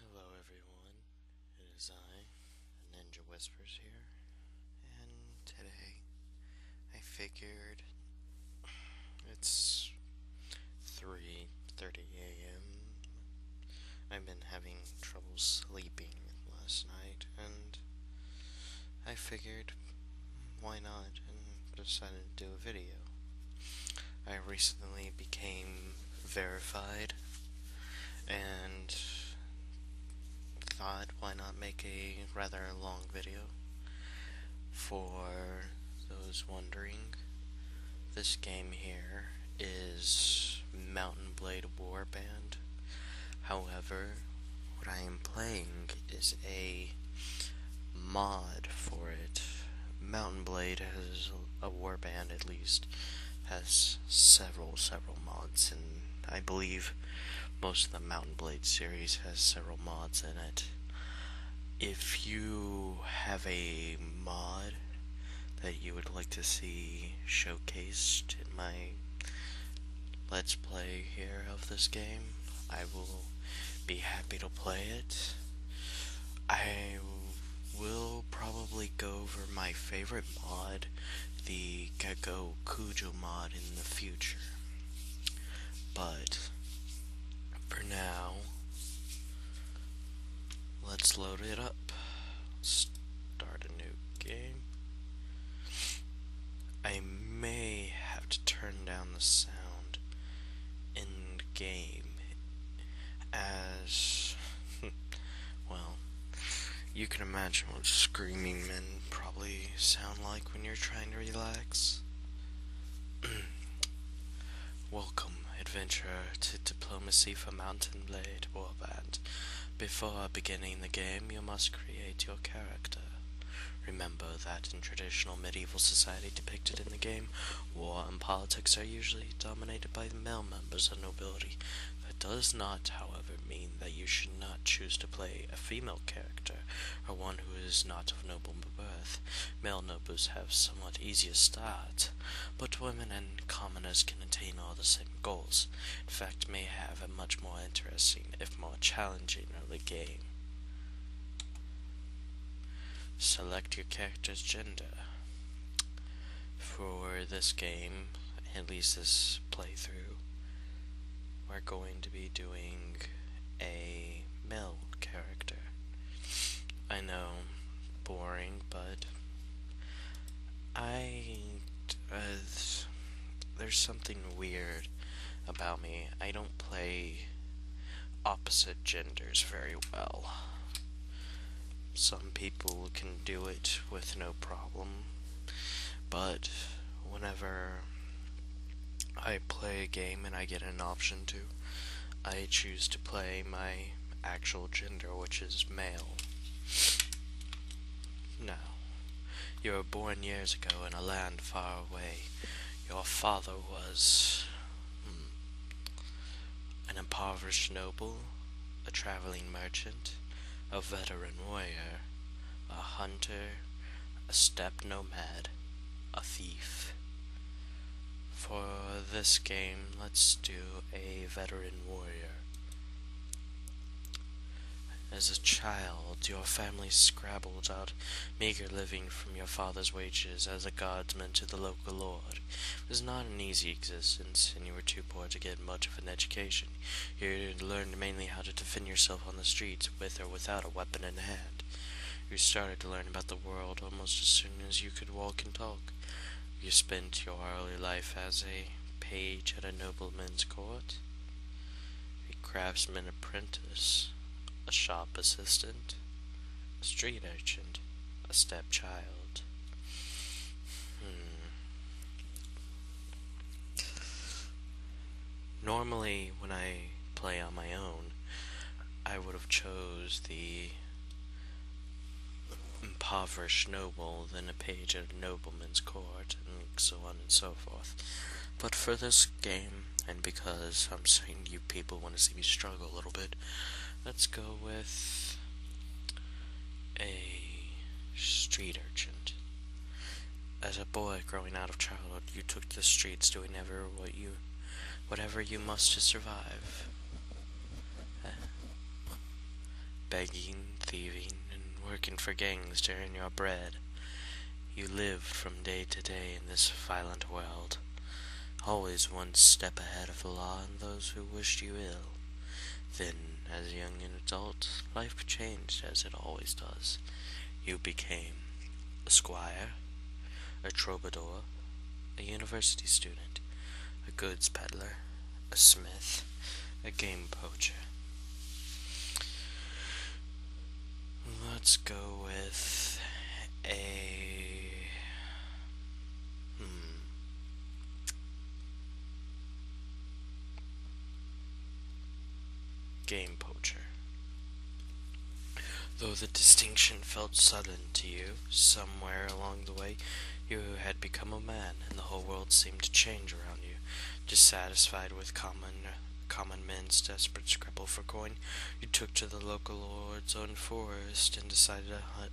Hello everyone, it is I, Ninja Whispers here, and today I figured it's 3.30 a.m. I've been having trouble sleeping last night, and I figured why not? And decided to do a video. I recently became verified and thought why not make a rather long video for those wondering. This game here is Mountain Blade Warband. However, what I am playing is a mod for it. Mountain Blade has a warband at least has several several mods and I believe most of the Mountain Blade series has several mods in it. If you have a mod that you would like to see showcased in my let's play here of this game, I will be happy to play it. I will probably go over my favorite mod, the Gecko Cujo mod, in the future. But for now, let's load it up. Start a new game. I may have to turn down the sound around in game as well you can imagine what screaming men probably sound like when you're trying to relax welcome adventurer to diplomacy for mountain blade warband before beginning the game you must create your character Remember that in traditional medieval society depicted in the game, war and politics are usually dominated by male members of nobility. That does not, however, mean that you should not choose to play a female character or one who is not of noble birth. Male nobles have somewhat easier start, but women and commoners can attain all the same goals. In fact, may have a much more interesting, if more challenging, early game. Select your character's gender. For this game, at least this playthrough, we're going to be doing a male character. I know, boring, but I. Uh, there's something weird about me. I don't play opposite genders very well. Some people can do it with no problem, but whenever I play a game and I get an option to, I choose to play my actual gender, which is male. Now, you were born years ago in a land far away your father was hmm, an impoverished noble, a traveling merchant, a veteran warrior, a hunter, a step nomad, a thief. For this game, let's do a veteran warrior. As a child, your family scrabbled out meager living from your father's wages as a guardsman to the local lord. It was not an easy existence, and you were too poor to get much of an education. You learned mainly how to defend yourself on the streets, with or without a weapon in hand. You started to learn about the world almost as soon as you could walk and talk. You spent your early life as a page at a nobleman's court a craftsman apprentice, a shop assistant, a street urchin, a stepchild. Hmm. Normally, when I play on my own, I would have chose the impoverished noble, then a page at a nobleman's court, and so on and so forth. But for this game, and because I'm certain you people want to see me struggle a little bit, let's go with a street urchin. As a boy growing out of childhood, you took the streets doing ever what you, whatever you must to survive. Eh. Begging, thieving, and working for gangs to earn your bread. You lived from day to day in this violent world, always one step ahead of the law and those who wished you ill. Then, as a young adult, life changed as it always does. You became a squire, a troubadour, a university student, a goods peddler, a smith, a game poacher. Let's go with a... Hmm. Game poacher. Though the distinction felt sudden to you, somewhere along the way, you had become a man, and the whole world seemed to change around you, dissatisfied with common common men's desperate scrabble for coin, you took to the local lord's own forest and decided to hunt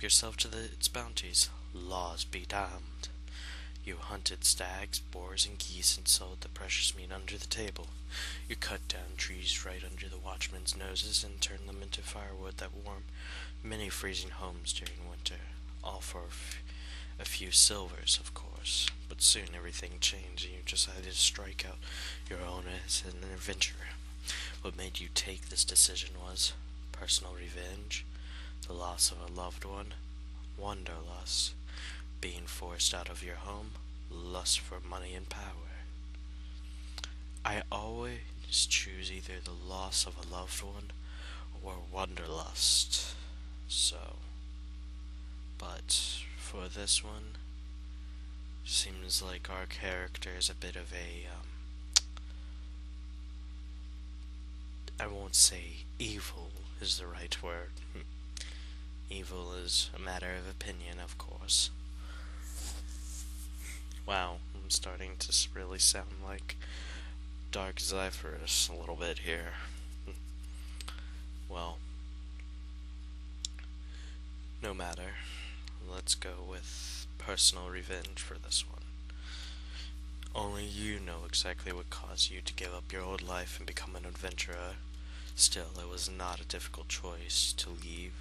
yourself to its bounties. Laws be damned. You hunted stags, boars, and geese, and sold the precious meat under the table. You cut down trees right under the watchmen's noses and turned them into firewood that warmed many freezing homes during winter, all for a few silvers, of course. But soon everything changed, and you decided to strike out your own as an adventurer. What made you take this decision was personal revenge, the loss of a loved one, wanderlust, being forced out of your home, lust for money and power. I always choose either the loss of a loved one or wanderlust. So, but for this one, Seems like our character is a bit of ai um, won't say evil is the right word. evil is a matter of opinion, of course. Wow, I'm starting to really sound like Dark Zephyrus a little bit here. Hmm. well, no matter. Let's go with personal revenge for this one. Only you know exactly what caused you to give up your old life and become an adventurer. Still, it was not a difficult choice to leave.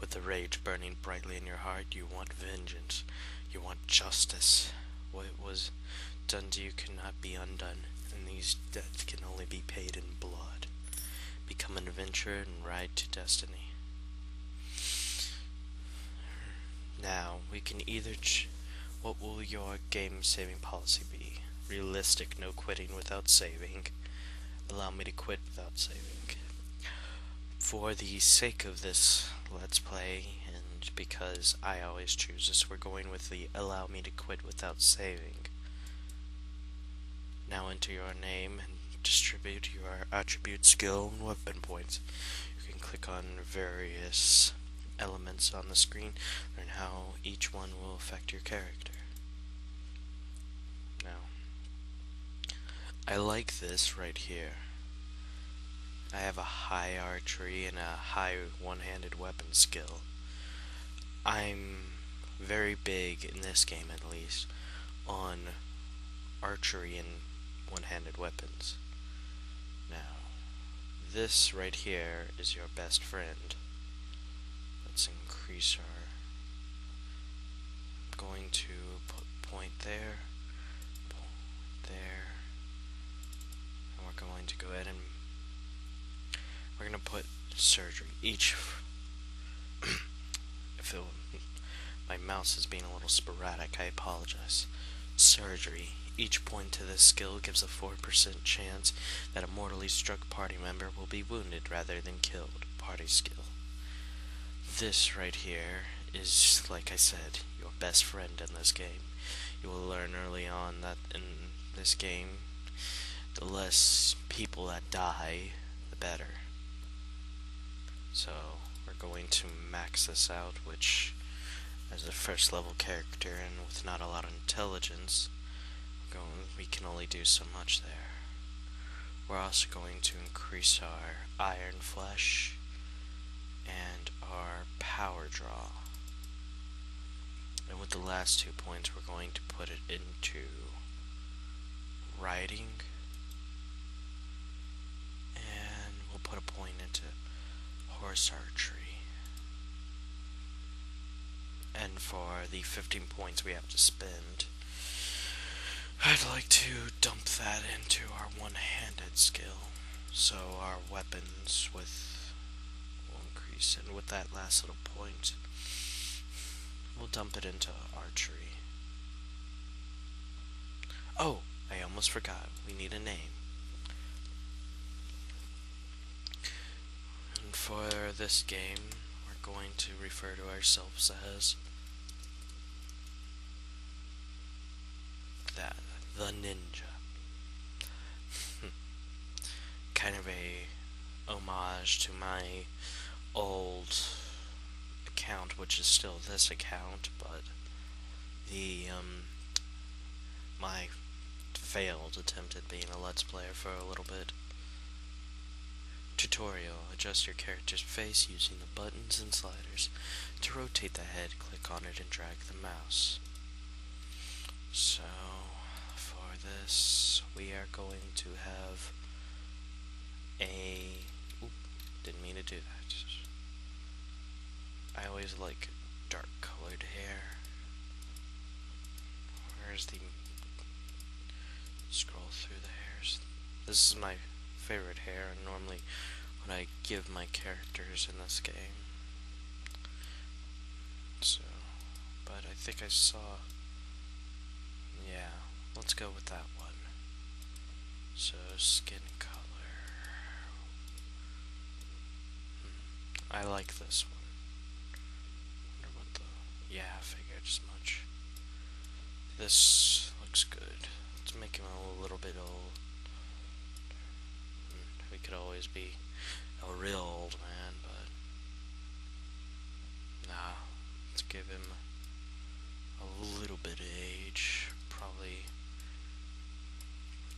With the rage burning brightly in your heart, you want vengeance. You want justice. What was done to you cannot be undone, and these debts can only be paid in blood become an adventurer, and ride to destiny. Now, we can either. what will your game saving policy be? Realistic, no quitting without saving. Allow me to quit without saving. For the sake of this Let's Play, and because I always choose this, we're going with the allow me to quit without saving. Now enter your name and distribute your attribute skill and weapon points. You can click on various elements on the screen, and how each one will affect your character. Now, I like this right here. I have a high archery and a high one-handed weapon skill. I'm very big in this game at least on archery and one-handed weapons. Now, this right here is your best friend. Let's increase our... I'm going to put point there, there, and we're going to go ahead and we're going to put surgery each if it, my mouse is being a little sporadic I apologize surgery each point to this skill gives a 4% chance that a mortally struck party member will be wounded rather than killed party skill this right here is like I said your best friend in this game you will learn early on that in this game the less people that die, the better. So we're going to max this out, which as a first level character and with not a lot of intelligence, we can only do so much there. We're also going to increase our iron flesh and our power draw. And with the last two points, we're going to put it into writing. And we'll put a point into horse archery. And for the 15 points we have to spend, I'd like to dump that into our one-handed skill. So our weapons with will increase and with that last little point we'll dump it into archery oh I almost forgot we need a name and for this game we're going to refer to ourselves as that the ninja kind of a homage to my old account, which is still this account, but the, um, my failed attempt at being a Let's Player for a little bit. Tutorial. Adjust your character's face using the buttons and sliders. To rotate the head, click on it and drag the mouse. So for this, we are going to have a... Oop, didn't mean to do that. I always like dark colored hair. Where's the... Scroll through the hairs. This is my favorite hair, and normally when I give my characters in this game. So, but I think I saw, yeah, let's go with that one. So, skin color. Hmm, I like this one. yeah, I figured as much. This looks good. Let's make him a little bit old. Hmm, we could always be a real old man, but Nah, let's give him a little bit of age, probably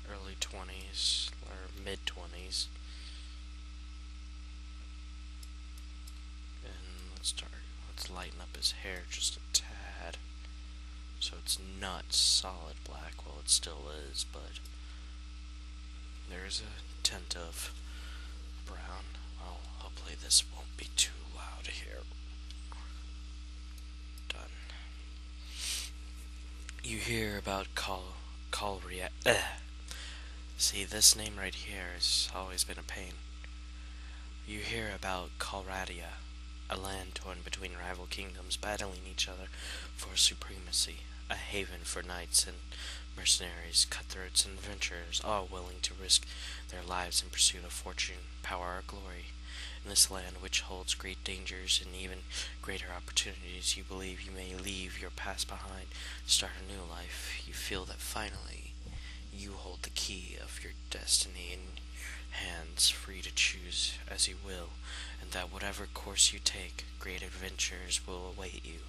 early 20s or mid 20s. And let's start, let's lighten up his hair just a tad. So it's not solid black, well it still is, but there's a tent of brown. Oh, hopefully this won't be too loud here. Done. You hear about call call react. See, this name right here has always been a pain. You hear about Calradia, a land torn between rival kingdoms battling each other for supremacy a haven for knights and mercenaries, cutthroats, and adventurers, all willing to risk their lives in pursuit of fortune, power, or glory. In this land, which holds great dangers and even greater opportunities, you believe you may leave your past behind start a new life. You feel that finally you hold the key of your destiny in your hands, free to choose as you will, and that whatever course you take, great adventures will await you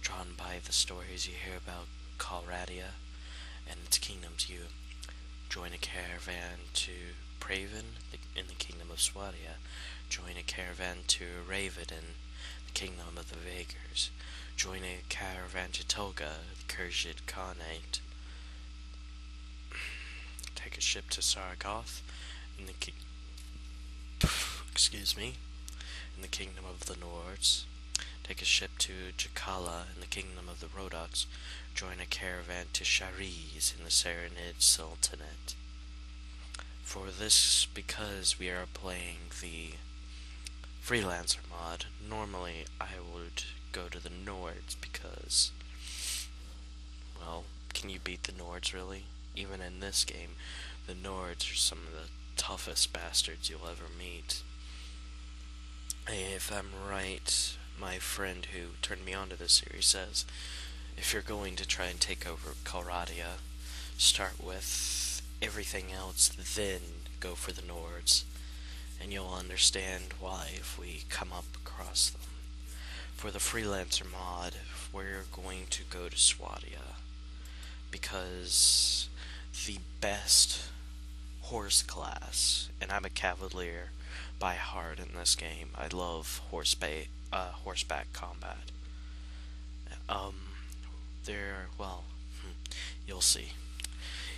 drawn by the stories you hear about Colradia and its kingdoms. You join a caravan to Praven in the kingdom of Swadia, join a caravan to Raven in the kingdom of the Vagers, join a caravan to Tolga, the Kurshid Khanate, take a ship to Saragoth in the ki- excuse me, in the kingdom of the Nords. Take a ship to Jakala in the kingdom of the Rodox. Join a caravan to Shariz in the Serenid Sultanate. For this, because we are playing the freelancer mod, normally I would go to the Nords because, well, can you beat the Nords really? even in this game, the Nords are some of the toughest bastards you'll ever meet. If I'm right, my friend who turned me on to this series says, if you're going to try and take over Calradia, start with everything else, then go for the Nords, and you'll understand why if we come up across them. For the Freelancer mod, we're going to go to Swadia because the best horse class, and I'm a cavalier by heart in this game. I love horseback uh, horseback combat. Um, there, well, hmm, you'll see.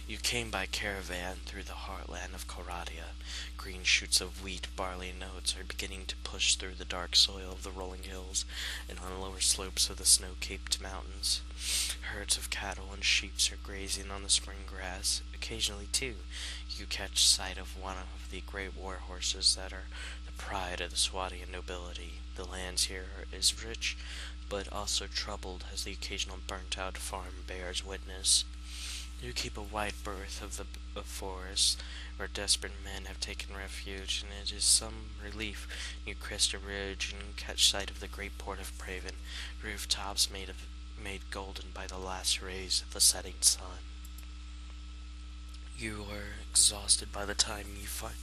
You came by caravan through the heartland of Coradia. Green shoots of wheat, barley, and oats are beginning to push through the dark soil of the rolling hills and on the lower slopes of the snow-capped mountains. Herds of cattle and sheep are grazing on the spring grass. Occasionally, too, you catch sight of one of the great war horses that are the pride of the Swadian nobility. The land here is rich, but also troubled, as the occasional burnt-out farm bears witness. You keep a wide berth of the of forests, where desperate men have taken refuge, and it is some relief near Cresta Ridge and catch sight of the great port of Praven, rooftops made made golden by the last rays of the setting sun. You are exhausted by the time you find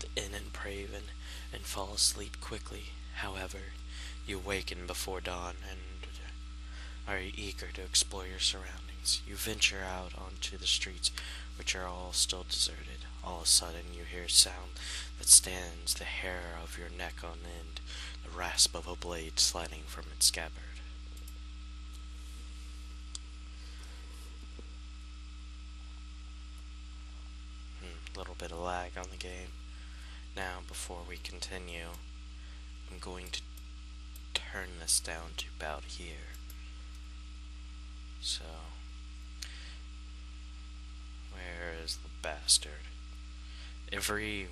the inn in Praven and fall asleep quickly. However, you waken before dawn and are eager to explore your surroundings. You venture out onto the streets, which are all still deserted. All of a sudden you hear a sound that stands the hair of your neck on end, the rasp of a blade sliding from its scabbard. Hmm, little bit of lag on the game. Now, before we continue, I'm going to turn this down to about here. So, where is the bastard? Every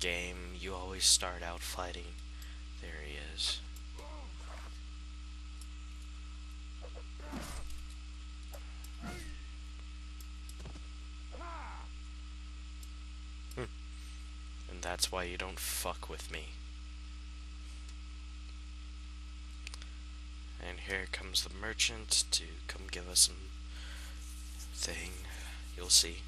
game, you always start out fighting. There he is. Hmm. And that's why you don't fuck with me. And here comes the merchant to come give us some thing. You'll see.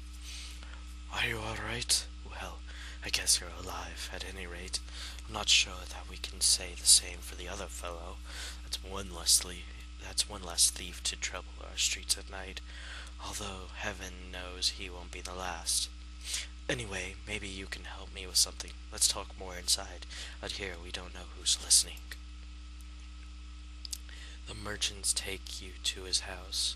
Are you alright? Well, I guess you're alive, at any rate. I'm not sure that we can say the same for the other fellow. That's one less thief. That's one less thief to trouble our streets at night. Although heaven knows he won't be the last. Anyway, maybe you can help me with something. Let's talk more inside. Out here, we don't know who's listening. The merchants take you to his house.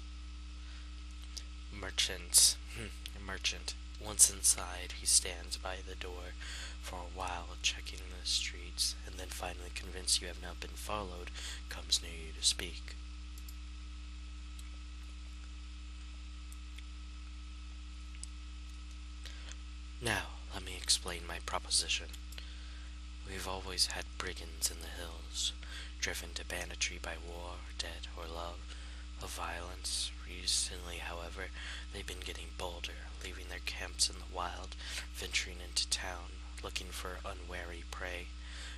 Merchants. Hmm, merchant. Once inside, he stands by the door for a while, checking the streets, and then finally convinced you have not been followed, comes near you to speak. Now, let me explain my proposition. We've always had brigands in the hills, driven to banditry by war, debt, or love of violence. Recently, however, they've been getting bolder, leaving their camps in the wild, venturing into town, looking for unwary prey.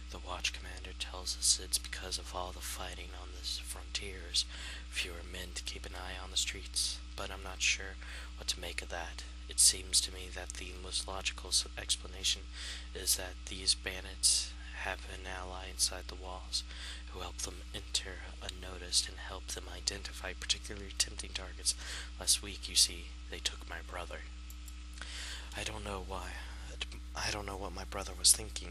The watch commander tells us it's because of all the fighting on the frontiers fewer men to keep an eye on the streets, but I'm not sure what to make of that. It seems to me that the most logical explanation is that these bandits have an ally inside the walls who help them enter unnoticed and help them identify particularly tempting targets. Last week, you see, they took my brother. I don't know why. I don't know what my brother was thinking.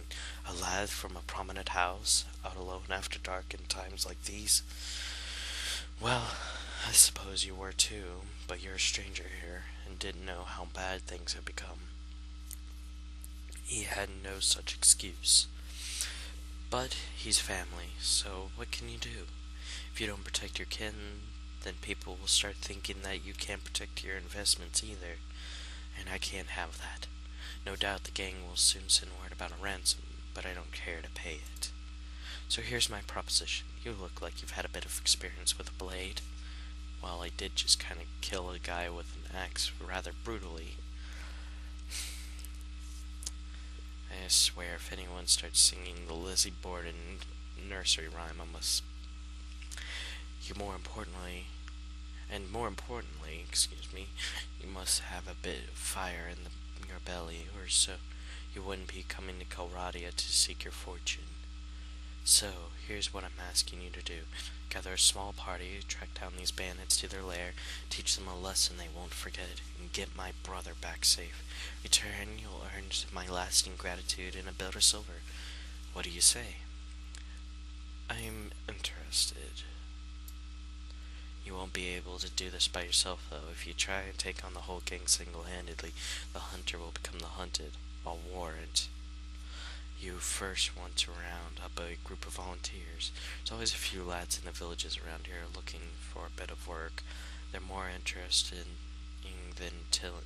A lad from a prominent house, out alone after dark in times like these? Well, I suppose you were too, but you're a stranger here and didn't know how bad things had become. He had no such excuse. But he's family, so what can you do? If you don't protect your kin, then people will start thinking that you can't protect your investments either, and I can't have that. No doubt the gang will soon send word about a ransom, but I don't care to pay it. So here's my proposition. You look like you've had a bit of experience with a blade. While I did just kind of kill a guy with an axe rather brutally, I swear if anyone starts singing the Lizzie Borden nursery rhyme, I must... You more importantly, and more importantly, excuse me, you must have a bit of fire in, your belly, or so you wouldn't be coming to Kalradia to seek your fortune. So, here's what I'm asking you to do. Gather a small party, track down these bandits to their lair, teach them a lesson they won't forget, and get my brother back safe. Return, you'll earn my lasting gratitude and a belt of silver. What do you say? I'm interested. You won't be able to do this by yourself, though. If you try and take on the whole gang single-handedly, the hunter will become the hunted. I'll warrant. You first want to round up a group of volunteers. There's always a few lads in the villages around here looking for a bit of work. They're more interested in than tilling.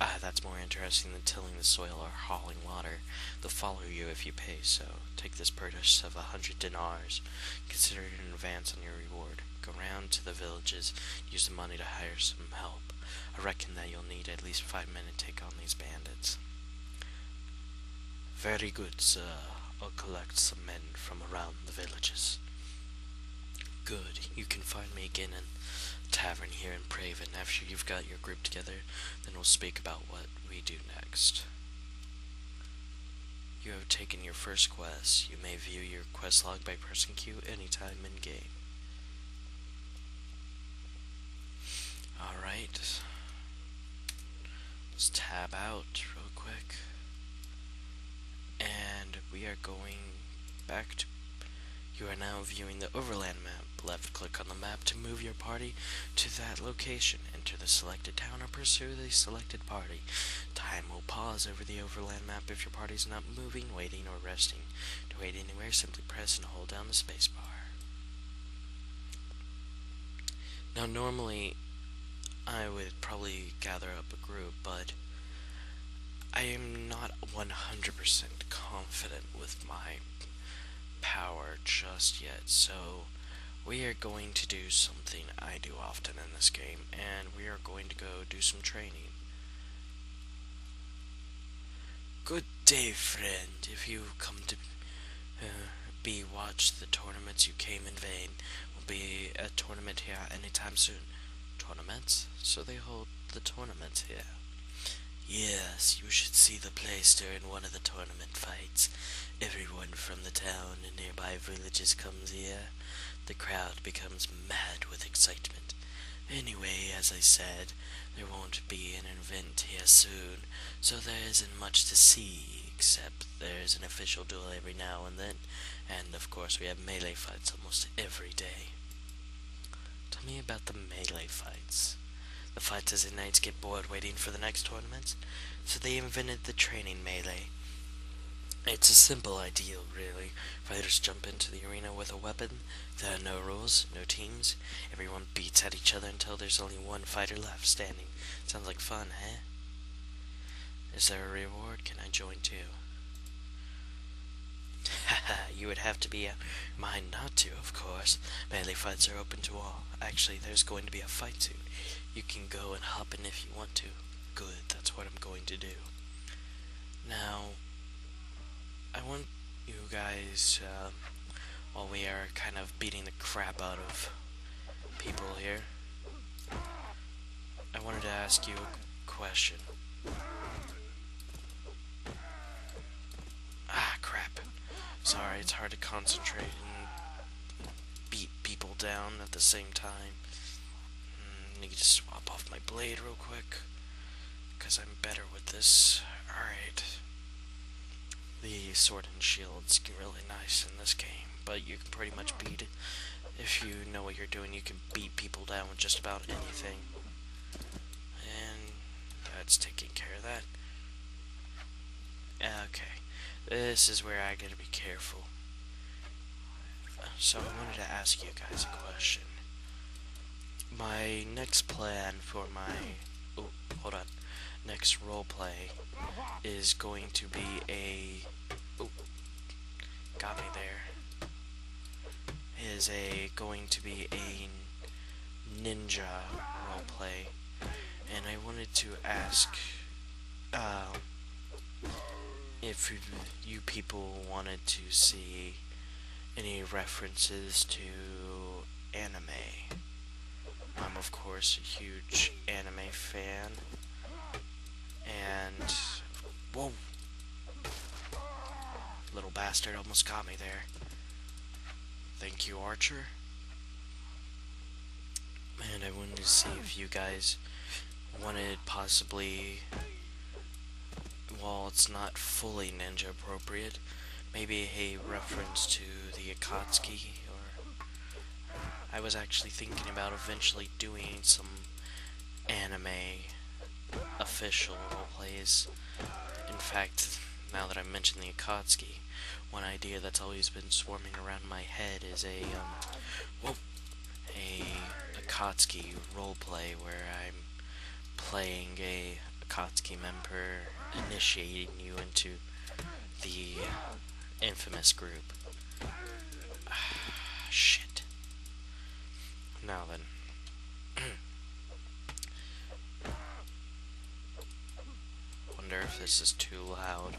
Ah, that's more interesting than tilling the soil or hauling water they'll follow you if you pay, so take this purchase of a hundred dinars. Consider it an advance on your reward. Go round to the villages, use the money to hire some help. I reckon that you'll need at least five men to take on these bandits. Very good, sir. I'll collect some men from around the villages. Good. You can find me again in tavern here in Praven after you've got your group together. Then we'll speak about what we do next. You have taken your first quest. You may view your quest log by pressing Q anytime in game. Alright. Let's tab out real quick. And we are going back to. You are now viewing the overland map. Left click on the map to move your party to that location. Enter the selected town or pursue the selected party. Time will pause over the overland map if your party is not moving, waiting, or resting. To wait anywhere, simply press and hold down the spacebar. Now normally I would probably gather up a group, but I am not 100% confident with my power just yet, so we are going to do something I do often in this game, and we are going to go do some training. Good day, friend. If you come to uh, be watch the tournaments, you came in vain. Will be a tournament here anytime soon. Tournaments? So they hold the tournaments here. Yes, you should see the place during one of the tournament fights. Everyone from the town and nearby villages comes here. The crowd becomes mad with excitement. Anyway, as I said, there won't be an event here soon, so there isn't much to see, except there's an official duel every now and then, and of course we have melee fights almost every day. Tell me about the melee fights. The fighters and knights get bored waiting for the next tournaments, so they invented the training melee. It's a simple idea, really. Fighters jump into the arena with a weapon. There are no rules, no teams. Everyone beats at each other until there's only one fighter left standing. Sounds like fun, eh? Is there a reward? Can I join too? Haha, you would have to be a mind not to, of course. Melee fights are open to all actually, there's going to be a fight soon. You can go and hop in if you want to. Good, that's what I'm going to do. Now, I want you guys, um, while we are kind of beating the crap out of people here, I wanted to ask you a question. Ah, crap. Sorry, it's hard to concentrate and beat people down at the same time. I need to swap off my blade real quick, because I'm better with this. Alright. The sword and shield's really nice in this game, but you can pretty much beat it. If you know what you're doing, you can beat people down with just about anything. And that's taking care of that. Okay, this is where I gotta be careful. So I wanted to ask you guys a question. My next plan for my... Oh, hold on. Next role play is going to be a... Oh, got me there. Is a going to be a ninja play, and I wanted to ask uh, if you people wanted to see any references to anime. I'm, of course, a huge anime fan, and. Whoa! Little bastard almost got me there. Thank you, Archer. And I wanted to see if you guys wanted possibly... While it's not fully ninja appropriate, maybe a reference to the Akatsuki, or... I was actually thinking about eventually doing some anime official roleplays. In fact, now that I mentioned the Akatsuki, one idea that's always been swarming around my head is a, um, whoa, a Akatsuki roleplay where I'm playing a Akatsuki member initiating you into the infamous group. Shit. Now then. Wonder if this is too loud.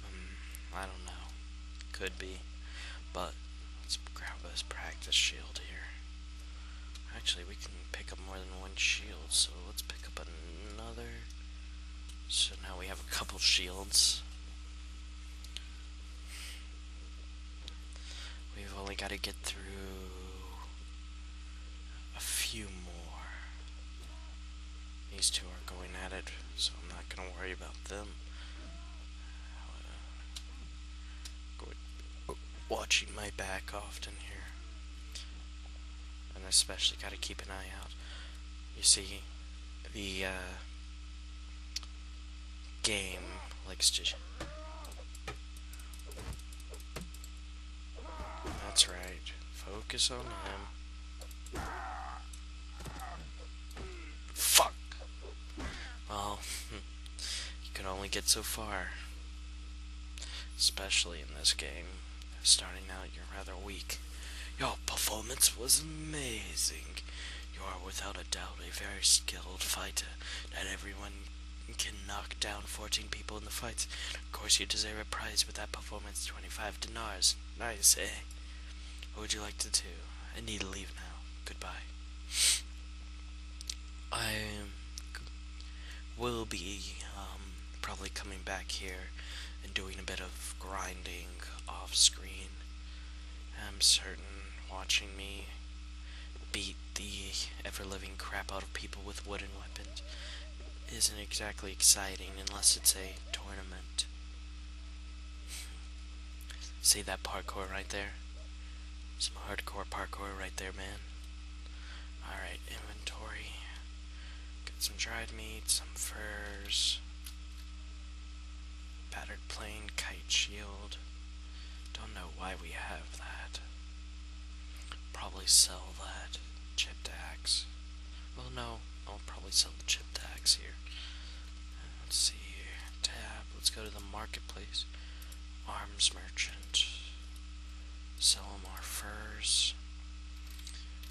Hmm, I don't know. Could be. But let's grab this practice shield here. Actually, we can pick up more than one shield, so let's pick up another. So now we have a couple shields. We've only got to get through a few more. These two are going at it, so I'm not going to worry about them. Uh, watching my back often here. And especially got to keep an eye out. You see, the uh, game likes to... That's right. Focus on him. Fuck! Well, you can only get so far. Especially in this game. Starting out, you're rather weak. Your performance was amazing. You are without a doubt a very skilled fighter that everyone you can knock down 14 people in the fights. Of course, you deserve a prize with that performance 25 dinars. Nice, eh? What would you like to do? I need to leave now. Goodbye. I will be um, probably coming back here and doing a bit of grinding off screen. I'm certain watching me beat the ever-living crap out of people with wooden weapons isn't exactly exciting unless it's a tournament. See that parkour right there? Some hardcore parkour right there, man. Alright, inventory. Got some dried meat, some furs. Battered plane, kite shield. Don't know why we have that. Probably sell that chip tags. Well, no, I'll probably sell the chip tags here. Let's see here. Tab. Let's go to the marketplace. Arms merchant. Sell them our furs.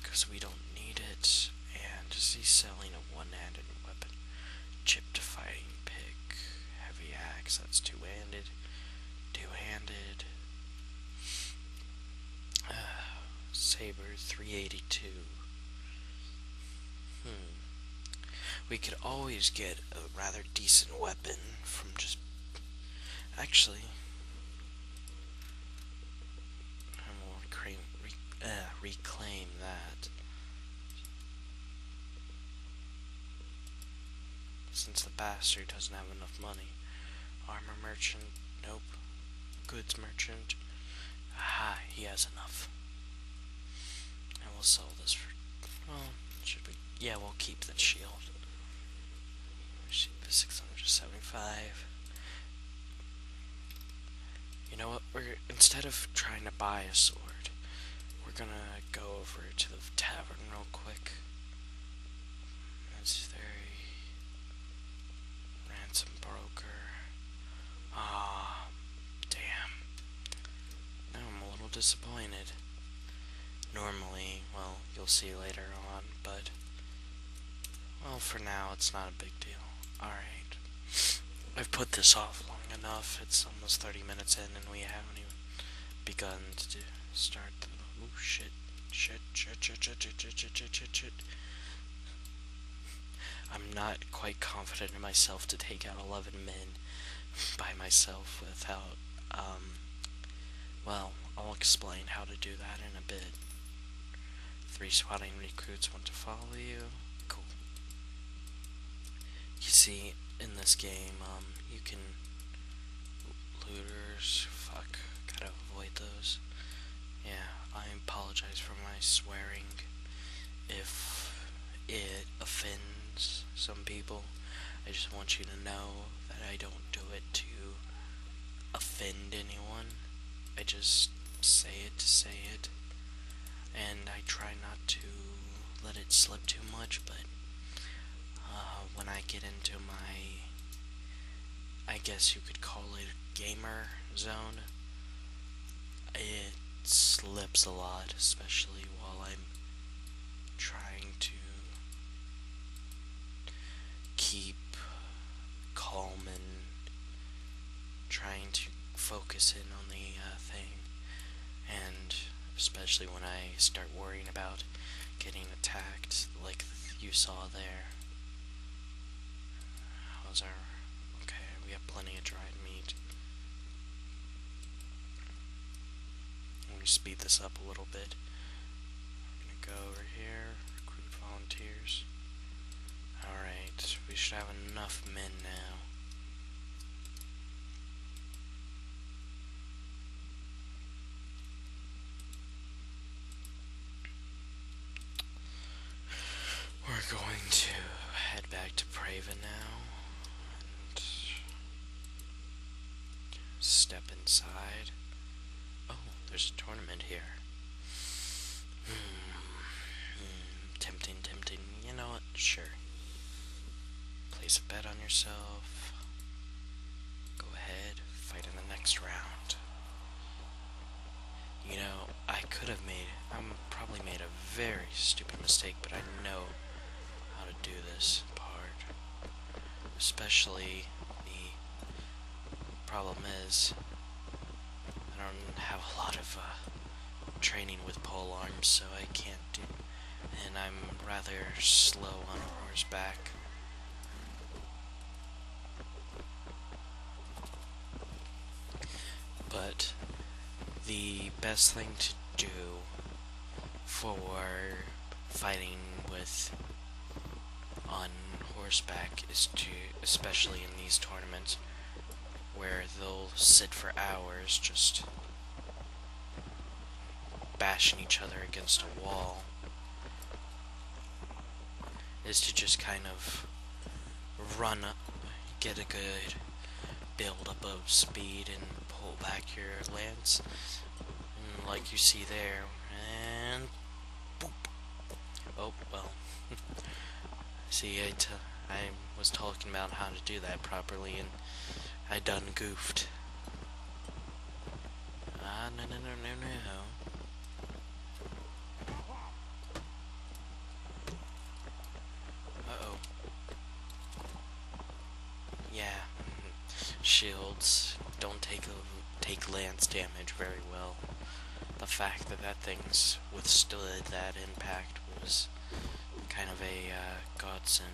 Because we don't need it. And is selling a one-handed weapon? fighting pick. Heavy axe, that's two handed. Two handed. Uh, saber, 382. Hmm. We could always get a rather decent weapon from just. Actually. I will reclaim, re uh, reclaim that. Since the bastard doesn't have enough money. Armor merchant, nope. Goods merchant, aha, he has enough. And we'll sell this for, well, should we, yeah, we'll keep the shield. 675. You know what, we're, instead of trying to buy a sword, we're gonna go over to the tavern real quick. That's very ransom broker. Ah, damn. I'm a little disappointed. Normally, well, you'll see later on, but well, for now it's not a big deal. All right, I've put this off long enough. It's almost 30 minutes in, and we haven't even begun to start oh shit I'm not quite confident in myself to take out 11 men by myself without, well, I'll explain how to do that in a bit. Three sweating recruits want to follow you. Cool. You see, in this game, um, you can looters. Fuck, gotta avoid those. Yeah, I apologize for my swearing. If it offends some people, I just want you to know that I don't do it to offend anyone. I just say it to say it, and I try not to let it slip too much, but uh, when I get into my, I guess you could call it gamer zone, it slips a lot, especially while I'm trying to keep calm and trying to focus in on the uh, thing and especially when I start worrying about getting attacked like you saw there. How's our... okay, we have plenty of dried meat. Let me speed this up a little bit. I'm going to go over here, recruit volunteers. Alright, we should have enough men now. We're going to head back to Prava now and step inside. Oh, there's a tournament here. Hmm. hmm tempting, tempting. You know, Sure. Place a bet on yourself. Go ahead, fight in the next round. You know, I could have made, I'm probably made a very stupid mistake, but I know how to do this part. Especially the problem is, I don't have a lot of uh, training with pole arms, so I can't. And I'm rather slow on horseback. But the best thing to do for fighting with on horseback is to, especially in these tournaments, where they'll sit for hours just bashing each other against a wall is to just kind of run up, get a good build up of speed and pull back your lance and like you see there and boop. oh well see I, I was talking about how to do that properly and I done goofed. Ah, no, no, no, no, no. Uh-oh. Yeah. Mm-hmm. Shields don't take take lance damage very well. The fact that that thing's withstood that impact was kind of a uh, godsend.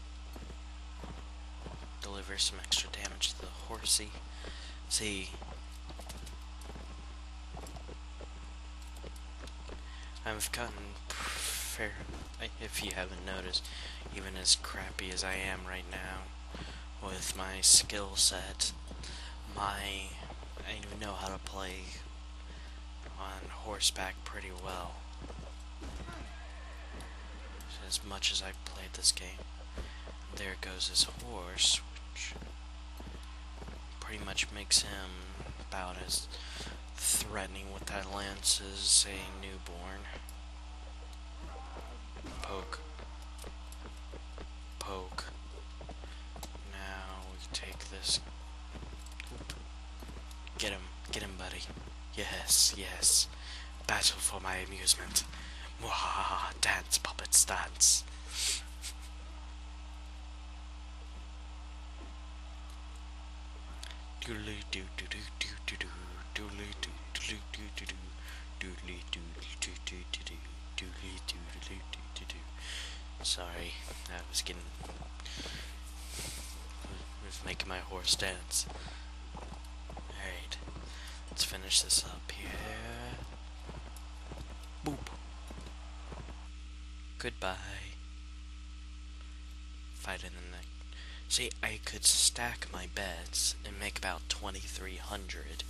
deliver some extra damage to the horsey. See, I've gotten fair, if you haven't noticed, even as crappy as I am right now with my skill set, my, I even know how to play on horseback pretty well. As much as I've played this game. There goes his horse, which pretty much makes him about as threatening with that lance as a newborn. Poke. Poke. Now we take this. Get him. Get him, buddy. Yes, yes. Battle for my amusement. Mwahaha, dance, puppets, dance. doodly doo doo doo doo doo doo doodly doo doo doo doo doo doodly doo doo doo doo doo doodly doo doo doo doo doo. Sorry, I was getting with making my horse dance. Alright, let's finish this up here. Boop. Goodbye. Fight the neck. See, I could stack my beds and make about 2,300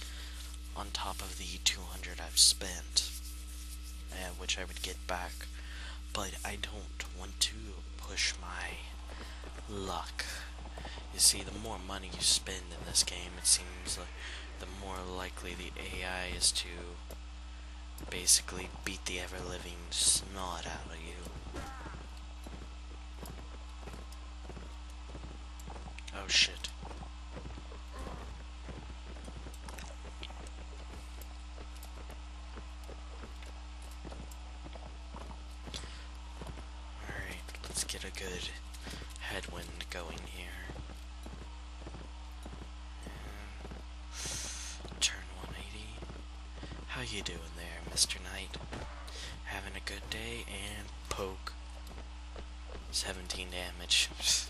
on top of the 200 I've spent, eh, which I would get back. But I don't want to push my luck. You see, the more money you spend in this game, it seems like the more likely the AI is to basically beat the ever-living snot out of you. Oh shit. Alright, let's get a good headwind going here. turn 180. How you doing there, Mr. Knight? Having a good day and poke. 17 damage.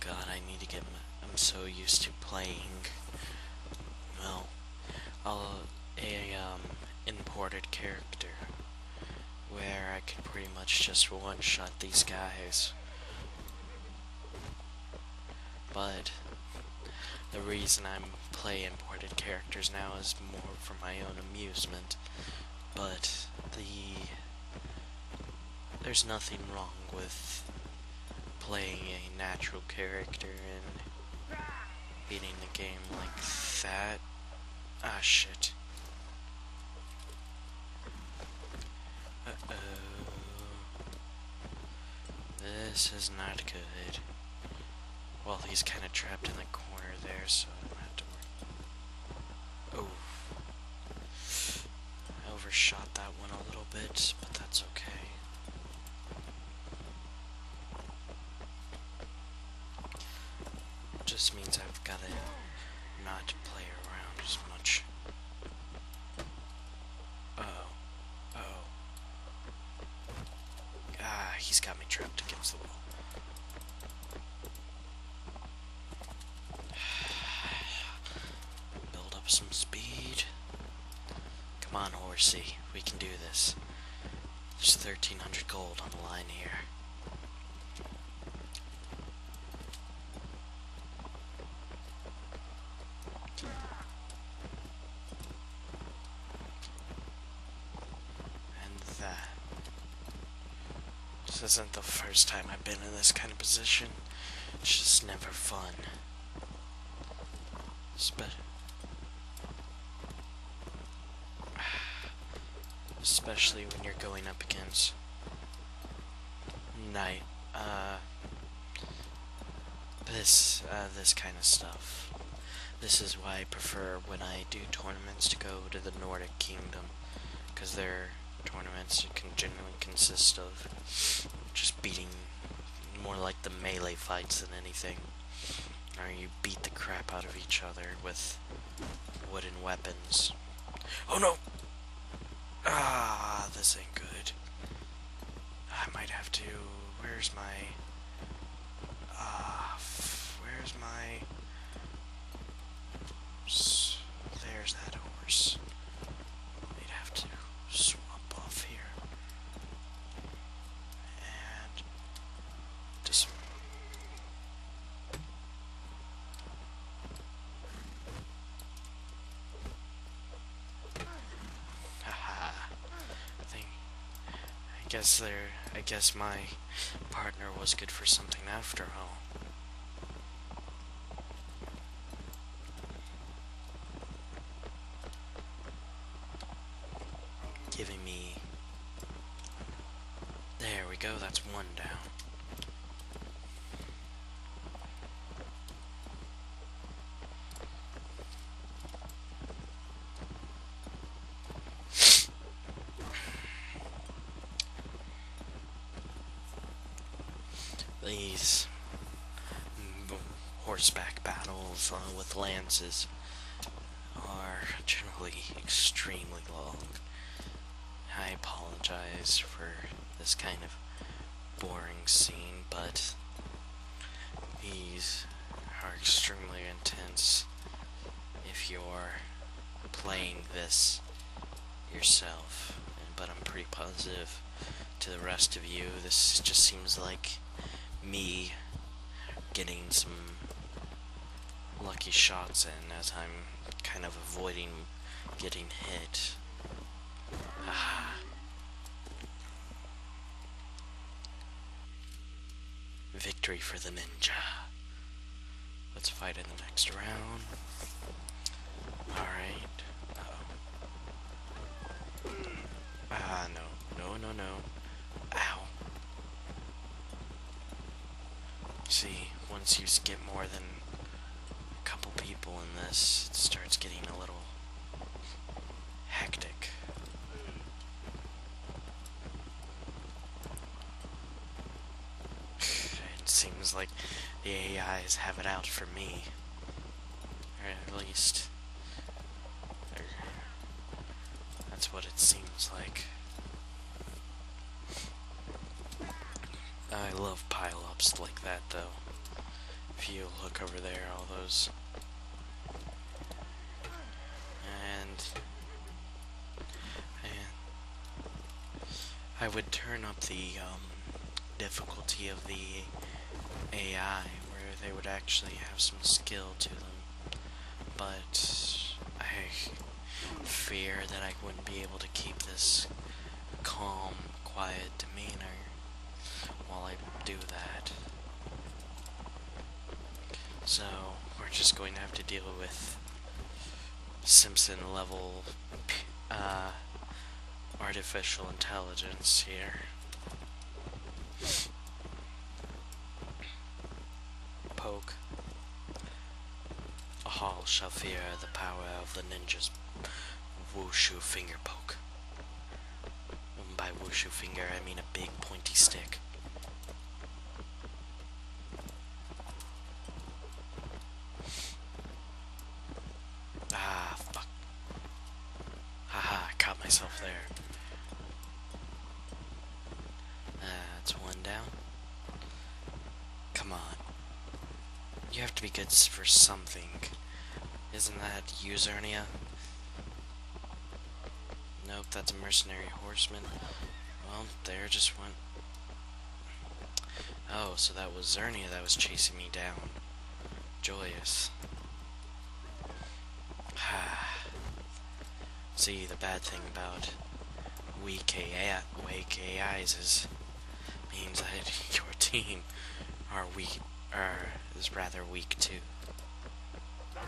God, I need to get I'm so used to playing, well, a um, imported character, where I can pretty much just one-shot these guys. But the reason I'm play imported characters now is more for my own amusement. But the there's nothing wrong with playing a natural character and beating the game like that. Ah, shit. Uh-oh. This is not good. Well, he's kind of trapped in the corner there, so I don't have to Oh. I overshot that one a little bit, but that's okay. Just means I've gotta not play around as much. oh. Oh. Ah, he's got me trapped against the wall. Build up some speed. Come on, horsey. We can do this. There's 1,300 gold on the line here. And that. This isn't the first time I've been in this kind of position. It's just never fun. Especially when you're going up against night, uh, this, uh, this kind of stuff. This is why I prefer when I do tournaments to go to the Nordic Kingdom, because their tournaments can generally consist of just beating more like the melee fights than anything. Or you beat the crap out of each other with wooden weapons. Oh no! Ah, this ain't good. I might have to... Where's my... Ah, where's my... There's that horse. I'd have to swap off here. And this Haha. I guess there I guess my partner was good for something after all giving me there we go that's one down these mm, horseback battles uh, with lances are generally extremely long. I apologize for this kind of boring scene, but these are extremely intense if you're playing this yourself. But I'm pretty positive to the rest of you. This just seems like me getting some lucky shots and as I'm kind of avoiding getting hit. Ah. Victory for the ninja. Let's fight in the next round. Alright. Ah, no. No, no, no. Ow. See, once you get more than a couple people in this, it starts getting a little hectic. it seems like the AIs have it out for me at least that's what it seems like. I love pile-ups like that, though. If you look over there, all those... And... and I would turn up the, um, difficulty of the AI, where they would actually have some skill to them. But I fear that I wouldn't be able to keep this calm, quiet demeanor while I do that. So, we're just going to have to deal with Simpson level uh, artificial intelligence here. Poke. A hall shall fear the power of the ninja's wushu finger poke. And um, by wushu finger, I mean a big pointy stick. Ah, fuck. Ha I caught myself there. That's one down. Come on. You have to be good for something. Isn't that Usernia? Nope, that's a mercenary horseman. Well, there just went... Oh, so that was Zernia that was chasing me down. Joyous. See, the bad thing about weak, AI, is means that your team are weak, or er, is rather weak too. And,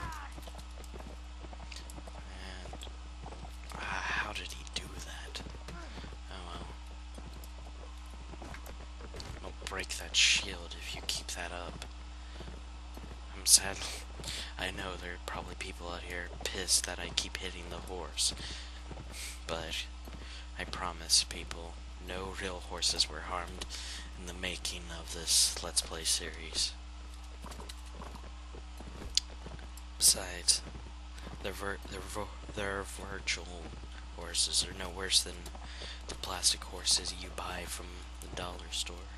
ah, how did he do that? Oh, well. I'll break that shield if you keep that up. I'm sad. I know there are probably people out here pissed that I keep hitting the horse. But I promise people, no real horses were harmed in the making of this Let's Play series. Besides, they're, vir they're, they're virtual horses are no worse than the plastic horses you buy from the dollar store.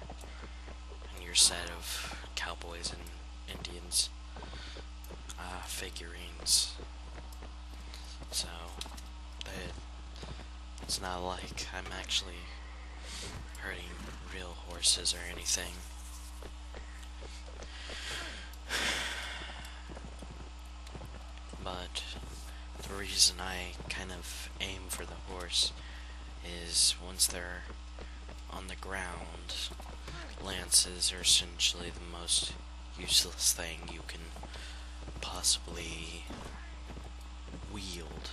And your set of cowboys and Indians uh, figurines. So, it's not like I'm actually hurting real horses or anything. But the reason I kind of aim for the horse is once they're on the ground, lances are essentially the most useless thing you can possibly wield.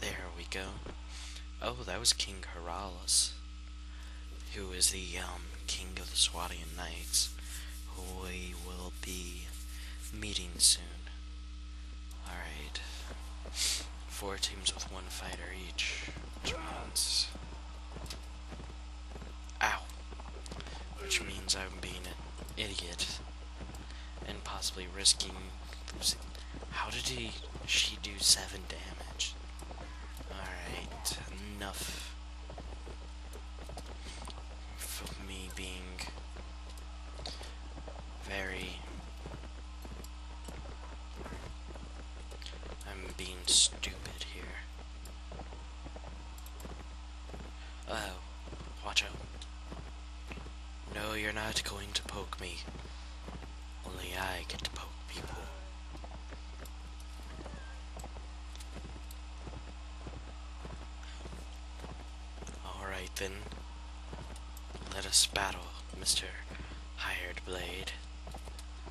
There we go. Oh, that was King Heralas, who is the um, king of the Swatian Knights, who we will be meeting soon. Alright. Four teams with one fighter each, which means... Ow! Which means I'm being an idiot, and possibly risking How did he... she do seven damage? Alright, enough for me being very I'm being stupid here. Oh, watch out. No, you're not going to poke me. Only I get to poke people. Alright then. Let us battle, Mr. Hired Blade.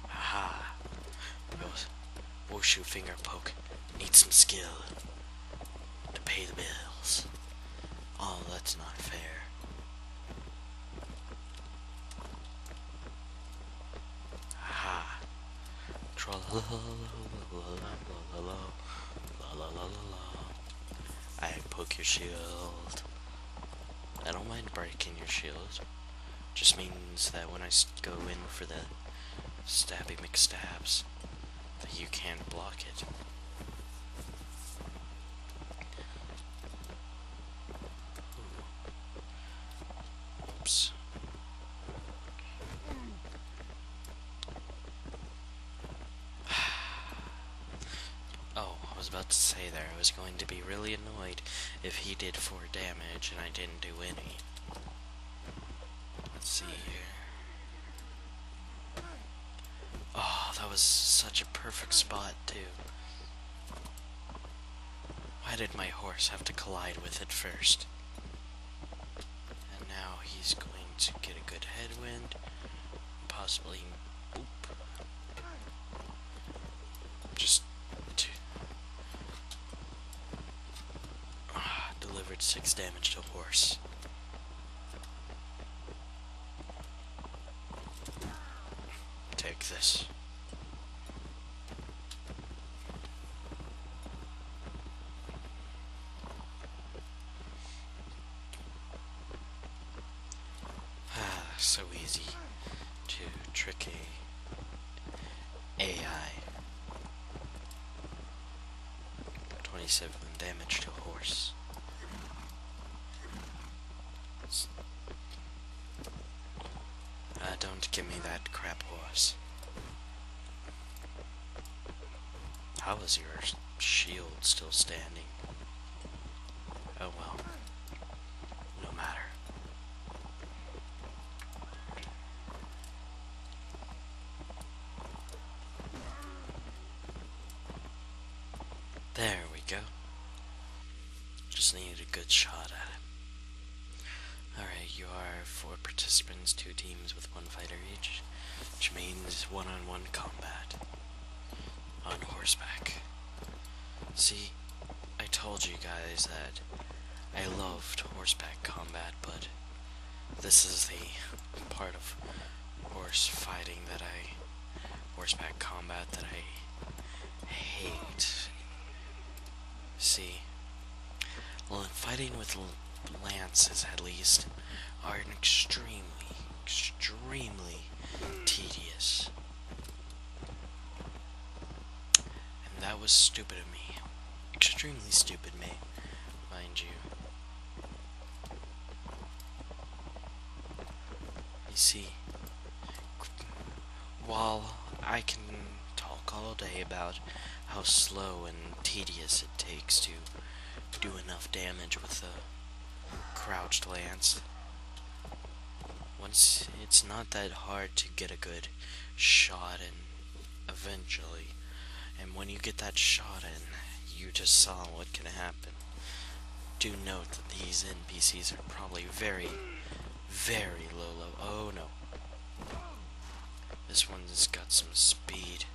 Aha. Wushu finger poke. Need some skill. To pay the bills. Oh, that's not fair. Aha. I poke your shield. I don't mind breaking your shield. Just means that when I go in for the stabby McStabs, that you can't block it. Oops. oh, I was about to say there, I was going to be really annoyed if he did 4 damage and I didn't do any. Let's see here. Oh, that was such a perfect spot, too. Why did my horse have to collide with it first? And now he's going to get a good headwind. Possibly boop. Just ah, delivered six damage to horse. Take this. Ah, so easy to tricky AI. 27 damage to horse. Uh, don't give me that crap horse. How is your shield still standing? Oh well. No matter. There we go. Just needed a good shot at it. Alright, you are four participants, two teams with one fighter each, which means one on one combat on horseback. See, I told you guys that I loved horseback combat, but this is the part of horse fighting that I, horseback combat that I hate. See, Well, fighting with lances, at least, are extremely, extremely tedious. And that was stupid of me. Extremely stupid, mate, mind you. You see, while I can talk all day about how slow and tedious it takes to do enough damage with a crouched lance. Once it's not that hard to get a good shot in eventually. And when you get that shot in, you just saw what can happen. Do note that these NPCs are probably very, very low level. Oh no. This one's got some speed,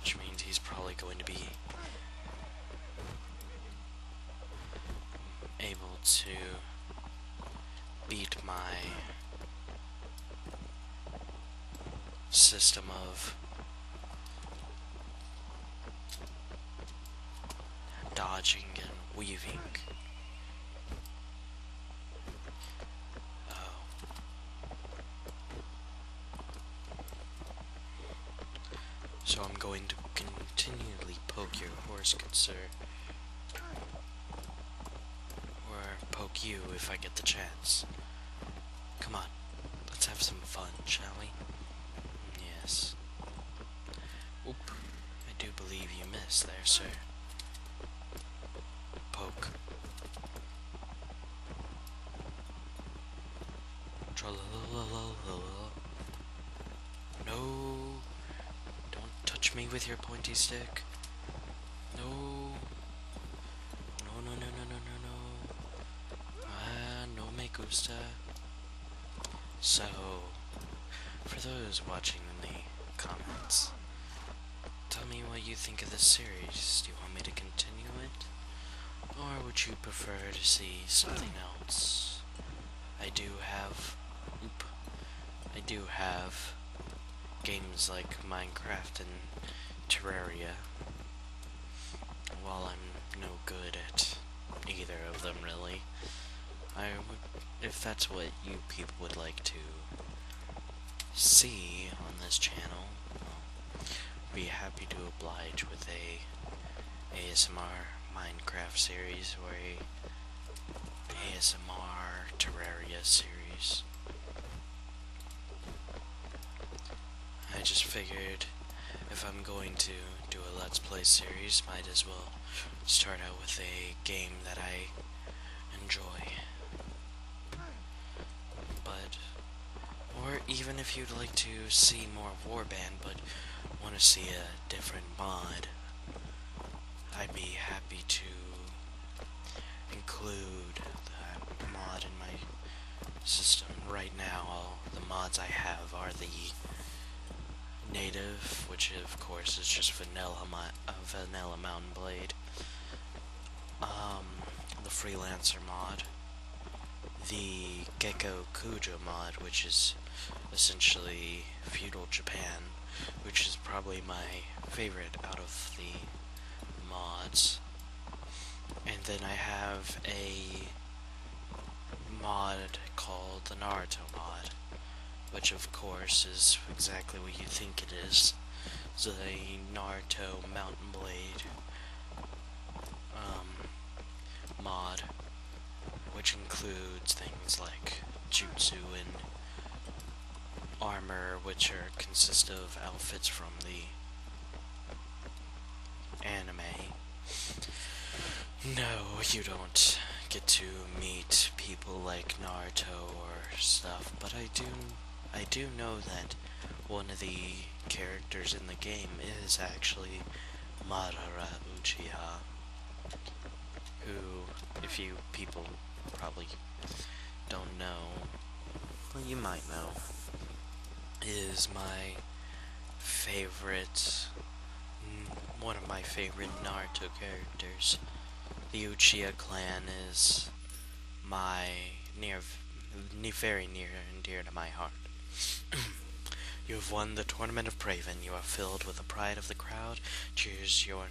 which means he's probably going to be able to beat my system of dodging and weaving. Oh. So I'm going to continually poke your horse, good sir. Or poke you if I get the chance. Come on, let's have some fun, shall we? Yes. Oop, I do believe you missed there, sir. Poke. No, don't touch me with your pointy stick. No, no, no, no, no, no, no, no. Ah, no me gusta. So, for those watching in the comments, Tell me what you think of this series. Do you want me to continue it? Or would you prefer to see something else? I do have... Oop. I do have games like Minecraft and Terraria. While I'm no good at either of them, really. I would... If that's what you people would like to see on this channel, be happy to oblige with a ASMR Minecraft series or a ASMR Terraria series. I just figured if I'm going to do a Let's Play series, might as well start out with a game that I enjoy. But, or even if you'd like to see more Warband, but want to see a different mod, I'd be happy to include that mod in my system. Right now, all the mods I have are the native, which of course is just vanilla, vanilla Mountain Blade, um, the Freelancer mod, the Gecko Kujo mod, which is essentially feudal Japan, which is probably my favorite out of the mods. And then I have a mod called the Naruto mod, which of course is exactly what you think it is the Naruto Mountain Blade um, mod, which includes things like jutsu and armor, which are consist of outfits from the anime. No, you don't get to meet people like Naruto or stuff, but I do I do know that one of the characters in the game is actually Madara Uchiha, who, if you people probably don't know, well, you might know, is my favorite, mm, one of my favorite Naruto characters. The Uchiha clan is my near, very near and dear to my heart. you have won the tournament of Praven. You are filled with the pride of the crowd. Cheers your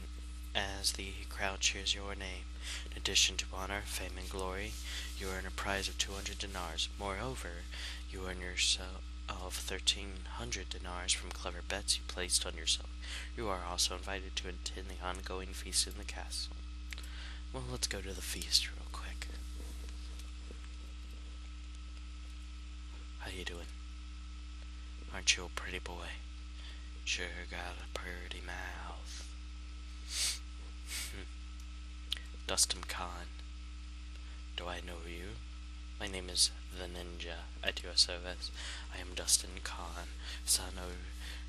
as the crowd cheers your name. In addition to honor, fame, and glory, you earn a prize of 200 dinars. Moreover, you earn yourself of 1300 dinars from clever bets you placed on yourself. You are also invited to attend the ongoing feast in the castle. Well, let's go to the feast real quick. How you doing? Aren't you a pretty boy? Sure got a pretty mouth. Dustin Khan. Do I know you? My name is The Ninja at your service. I am Dustin Khan, son of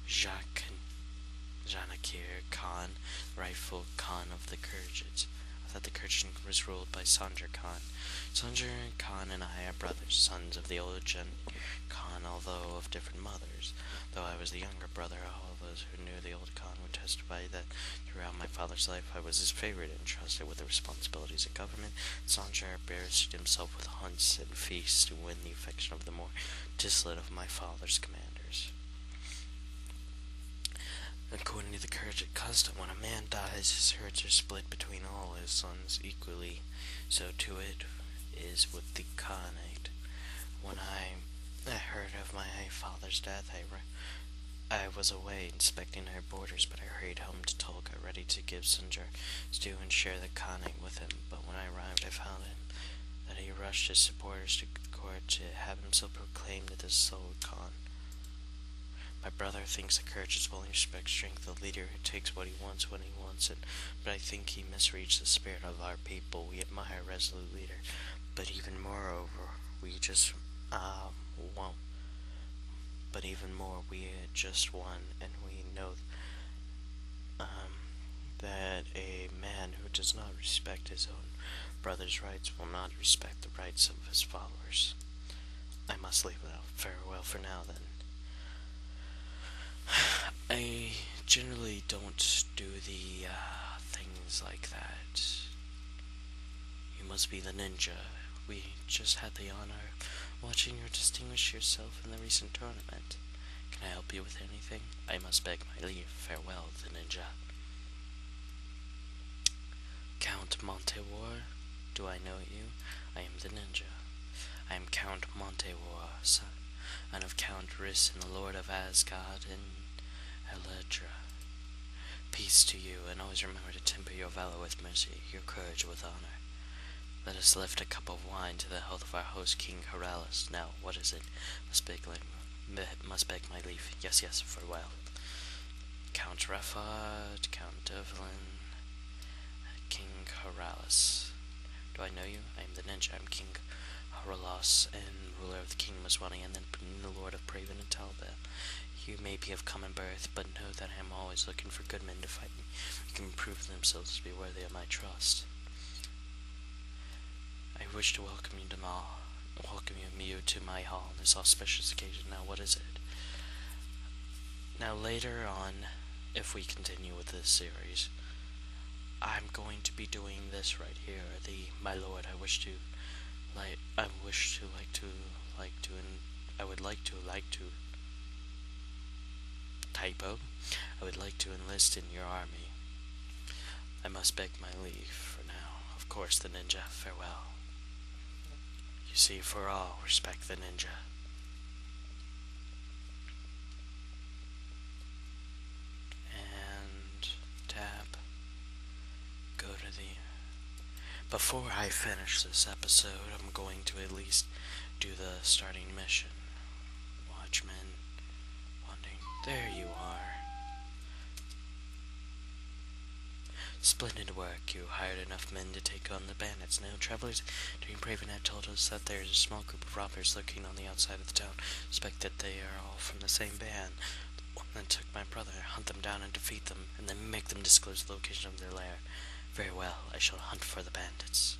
Jacques Janakir Khan, rightful Khan of the Kurds. That the Kurds was ruled by Sanjar Khan. Sanjar Khan and I are brothers, sons of the old Khan, although of different mothers. Though I was the younger brother, all those who knew the old Khan would testify that throughout my father's life I was his favorite, and trusted with the responsibilities of government. Sanjar busied himself with hunts and feasts to win the the affection of the more dissolute of my father's commanders. According to the Kurdish custom, when a man dies, his herds are split between all his sons equally, so too it is with the Khanate. When I, heard of my father's death, I I was away inspecting our borders, but I hurried home to Tolga, ready to give Sinjar to and share the khanate with him, but when I arrived I found him, that he rushed his supporters to court to have himself proclaimed the Sol Khan. My brother thinks that courage is willing respect strength, the leader who takes what he wants when he wants it, but I think he misreads the spirit of our people. We admire a resolute leader, but even moreover, we just, um, want, but even more, we just won, and we know um, that a man who does not respect his own brother's rights will not respect the rights of his followers. I must leave without farewell for now then. I generally don't do the uh, things like that. You must be the ninja. We just had the honor of watching you distinguish yourself in the recent tournament. Can I help you with anything? I must beg my leave. Farewell, the ninja. Count Montewar? Do I know you? I am the ninja. I am Count Montewar, son, and of Count Rhys and the Lord of Asgard in Eledra. Peace to you, and always remember to temper your valor with mercy, your courage with honor. Let us lift a cup of wine to the health of our host, King Haralas. Now, what is it? Must beg, must beg my leave. Yes, yes, farewell. Count Raffard, Count Dervelin, King Haralas. Do I know you? I am the ninja. I am King Haralas and ruler of the kingdom of Swani, and then the lord of Praven and Talbot. You may be of common birth, but know that I am always looking for good men to fight me, who can prove themselves to be worthy of my trust. I wish to welcome you to my welcome you to my hall on this auspicious occasion. Now what is it? Now later on, if we continue with this series, I'm going to be doing this right here. The my lord, I wish to like I wish to like to like to and I would like to like to Typo. I would like to enlist in your army. I must beg my leave for now. Of course, the ninja. Farewell. You see, for all, respect the ninja. And tap. Go to the... Before I finish this episode, I'm going to at least do the starting mission. Watchman. There you are. Splendid work. You hired enough men to take on the bandits. Now, travelers during Praven had told us that there is a small group of robbers lurking on the outside of the town. Suspect that they are all from the same band. The one took my brother. Hunt them down and defeat them, and then make them disclose the location of their lair. Very well. I shall hunt for the bandits.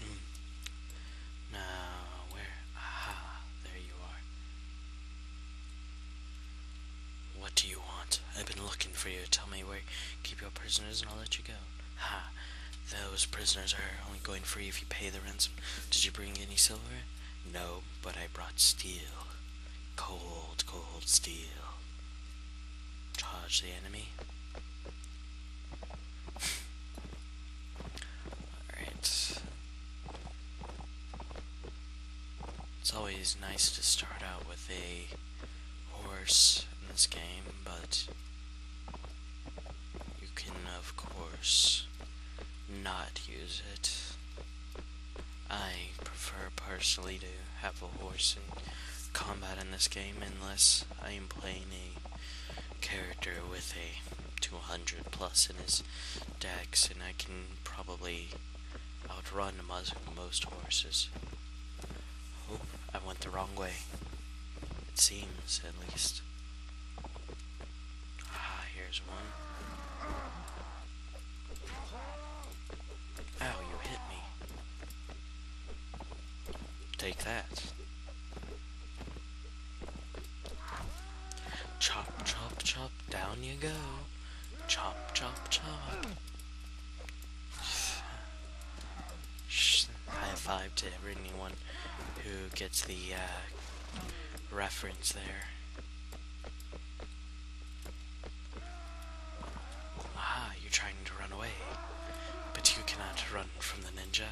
Mm. Now, where? Aha, there you are. What do you want? I've been looking for you. Tell me where. Keep your prisoners and I'll let you go. Ha, those prisoners are only going free if you pay the ransom. Did you bring any silver? No, but I brought steel. Cold, cold steel. Charge the enemy. Alright. It's always nice to start out with a horse in this game, but you can, of course, not use it. I prefer her personally to have a horse in combat in this game unless I am playing a character with a 200 plus in his decks and I can probably outrun most, horses. Oh, I went the wrong way. It seems, at least. Ah, here's one. Ow, you hit me. Take that. Chop, chop, chop, down you go. Chop, chop, chop. High five to everyone who gets the uh, reference there. Ah, you're trying to run away, but you cannot run from the ninja.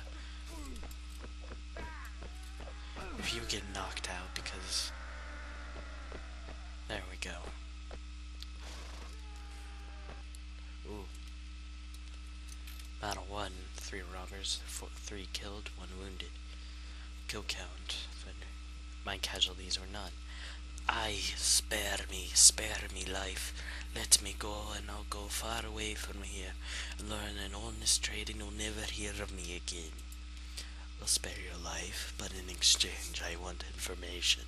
you get knocked out because... There we go. Ooh. Battle 1, 3 robbers, 3 killed, 1 wounded. Kill count, but my casualties or none. Ay, spare me, spare me life. Let me go, and I'll go far away from here, and learn an honest trade, and you'll never hear of me again. I'll spare your life, but in exchange I want information.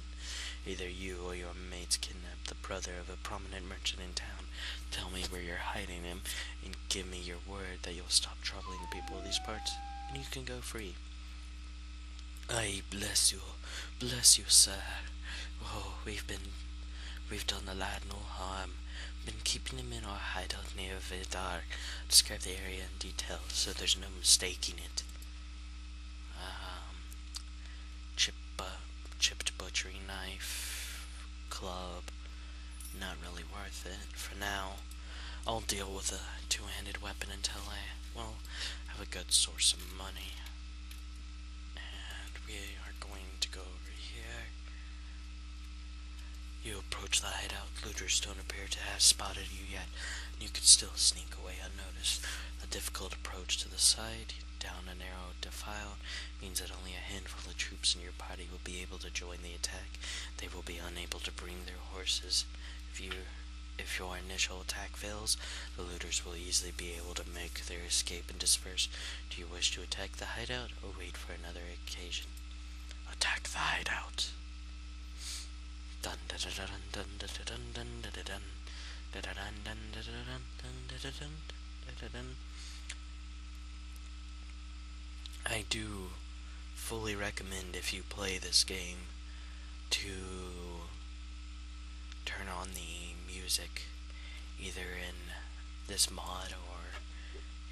Either you or your mates kidnap the brother of a prominent merchant in town. Tell me where you're hiding him, and give me your word that you'll stop troubling the people of these parts, and you can go free. I bless you, bless you, sir. Oh, we've been, we've done the lad no harm. Been keeping him in our hideout near Vidar. Describe the area in detail so there's no mistaking it. Um, chip, chipped butchery knife, club. Not really worth it for now. I'll deal with a two-handed weapon until I, well, have a good source of money. And we are going to go over here. You approach the hideout. Looters don't appear to have spotted you yet. You could still sneak away unnoticed. A difficult approach to the side, down a narrow defile, means that only a handful of troops in your party will be able to join the attack. They will be unable to bring their horses if you if your initial attack fails, the looters will easily be able to make their escape and disperse. Do you wish to attack the hideout or wait for another occasion? Attack the hideout. Dun dun dun dun dun dun dun dun dun dun dun dun dun dun dun dun dun I do fully recommend if you play this game to turn on the music either in this mod or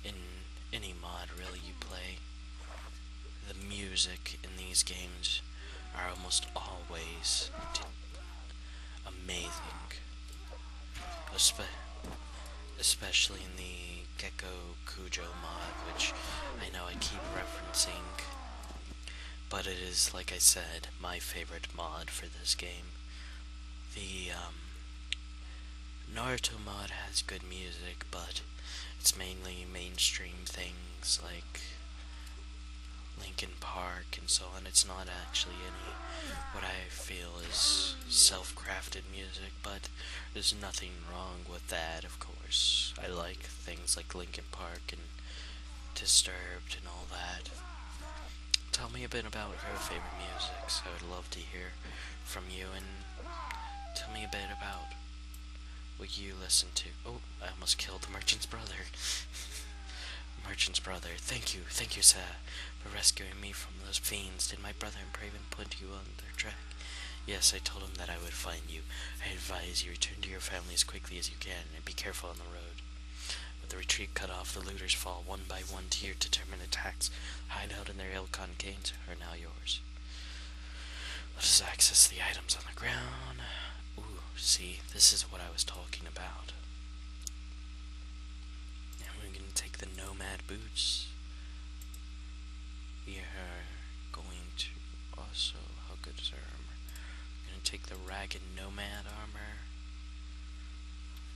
in any mod really you play. The music in these games are almost always amazing. especially in the Gecko Cujo mod, which I know I keep referencing but it is, like I said, my favorite mod for this game. The um, Naruto mod has good music, but it's mainly mainstream things like Linkin Park and so on. It's not actually any what I feel is self-crafted music, but there's nothing wrong with that, of course. I like things like Linkin Park and Disturbed and all that. Tell me a bit about your favorite music. I would love to hear from you and tell me a bit about what you listen to. Oh, I almost killed the merchant's brother. merchant's brother, thank you, thank you, sir, for rescuing me from those fiends. Did my brother and Praven put you on their track? Yes, I told him that I would find you. I advise you return to your family as quickly as you can and be careful on the road. With the retreat cut off, the looters fall one by one to your determined attacks. Hideout and their Ilkon canes are now yours. Let us access the items on the ground. Ooh, see, this is what I was talking about. And we're going to take the Nomad Boots. We are going to also, how good is her armor? I'm gonna take the Ragged Nomad armor.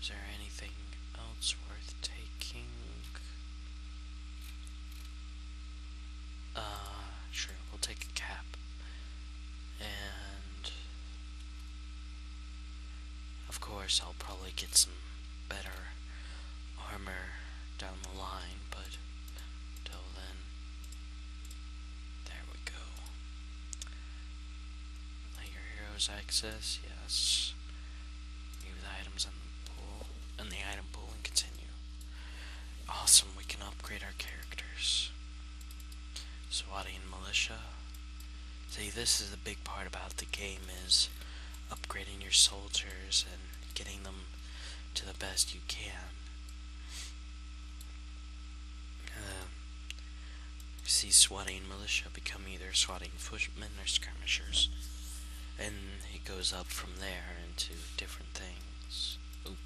Is there anything else worth taking? Uh, sure, we'll take a cap. And... Of course, I'll probably get some better armor down the line, but until then, there we go. Let your heroes access, yes. Leave the items in the pool in the item pool and continue. Awesome, we can upgrade our characters. Swati and Militia. See this is the big part about the game is upgrading your soldiers and getting them to the best you can. Uh, see swatting militia become either swatting footmen or skirmishers. And it goes up from there into different things. Oop.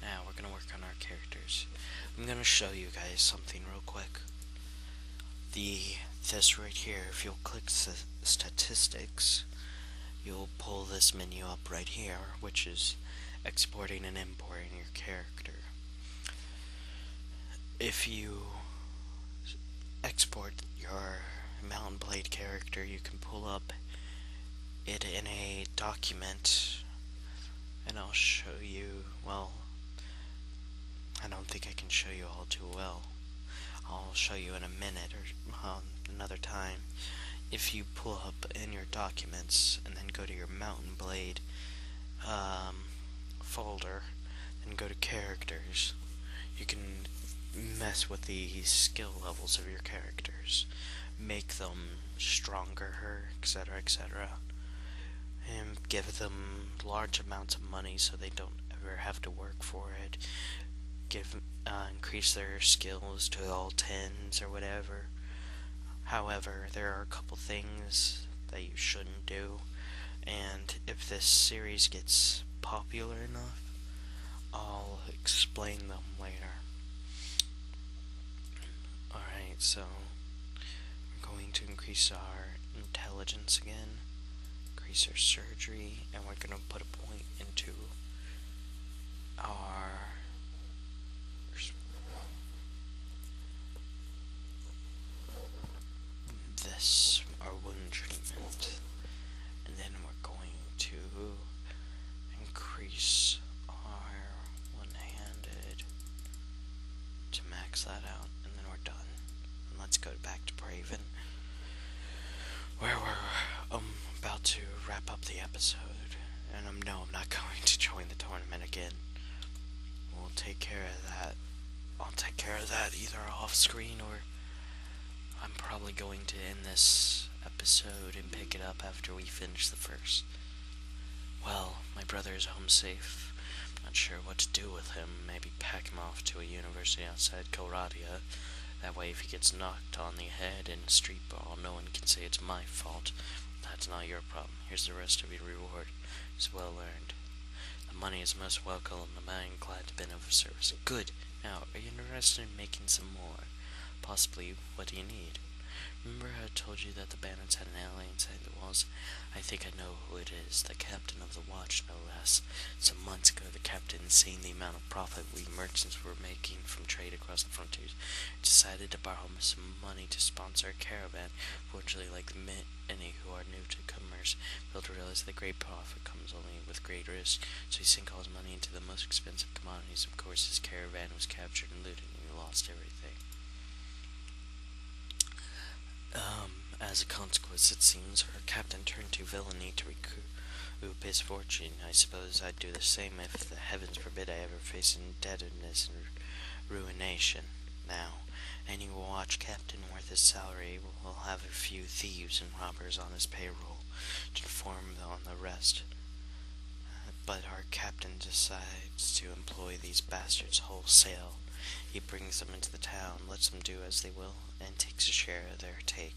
Now we're gonna work on our characters. I'm gonna show you guys something real quick. The this right here, if you'll click statistics, you'll pull this menu up right here, which is exporting and importing your character. If you export your Mountain Blade character, you can pull up it in a document, and I'll show you, well, I don't think I can show you all too well. I'll show you in a minute or another time, if you pull up in your documents and then go to your Mountain Blade um, folder and go to characters, you can mess with the skill levels of your characters, make them stronger, etc., etc., and give them large amounts of money so they don't ever have to work for it. Give uh, increase their skills to all tens or whatever, However, there are a couple things that you shouldn't do, and if this series gets popular enough, I'll explain them later. Alright, so we're going to increase our intelligence again, increase our surgery, and we're going to put a point into our this, our wound treatment, and then we're going to increase our one-handed to max that out, and then we're done. And let's go back to Braven, where we're um, about to wrap up the episode. And I'm no, I'm not going to join the tournament again. We'll take care of that. I'll take care of that either off screen or I'm probably going to end this episode and pick it up after we finish the first. Well, my brother is home safe. not sure what to do with him. Maybe pack him off to a university outside Koradia. That way if he gets knocked on the head in a street but No one can say it's my fault. That's not your problem. Here's the rest of your reward. It's well earned. The money is most welcome, and I am glad to have been of service. Good. Now, are you interested in making some more? Possibly, what do you need? Remember I told you that the bandits had an ally inside the walls? I think I know who it is. The captain of the watch, no less. Some months ago, the captain, seeing the amount of profit we merchants were making from trade across the frontiers, decided to borrow some money to sponsor a caravan. Fortunately, like many who are new to commerce, failed to realize that great profit comes only with great risk, so he sank all his money into the most expensive commodities. Of course, his caravan was captured and looted, and he lost everything. Um, as a consequence, it seems, our captain turned to villainy to recoup his fortune. I suppose I'd do the same if the heavens forbid I ever face indebtedness and ruination. Now, and you will watch Captain worth his salary will have a few thieves and robbers on his payroll to inform on the rest. But our captain decides to employ these bastards wholesale. He brings them into the town, lets them do as they will, and takes a share of their take.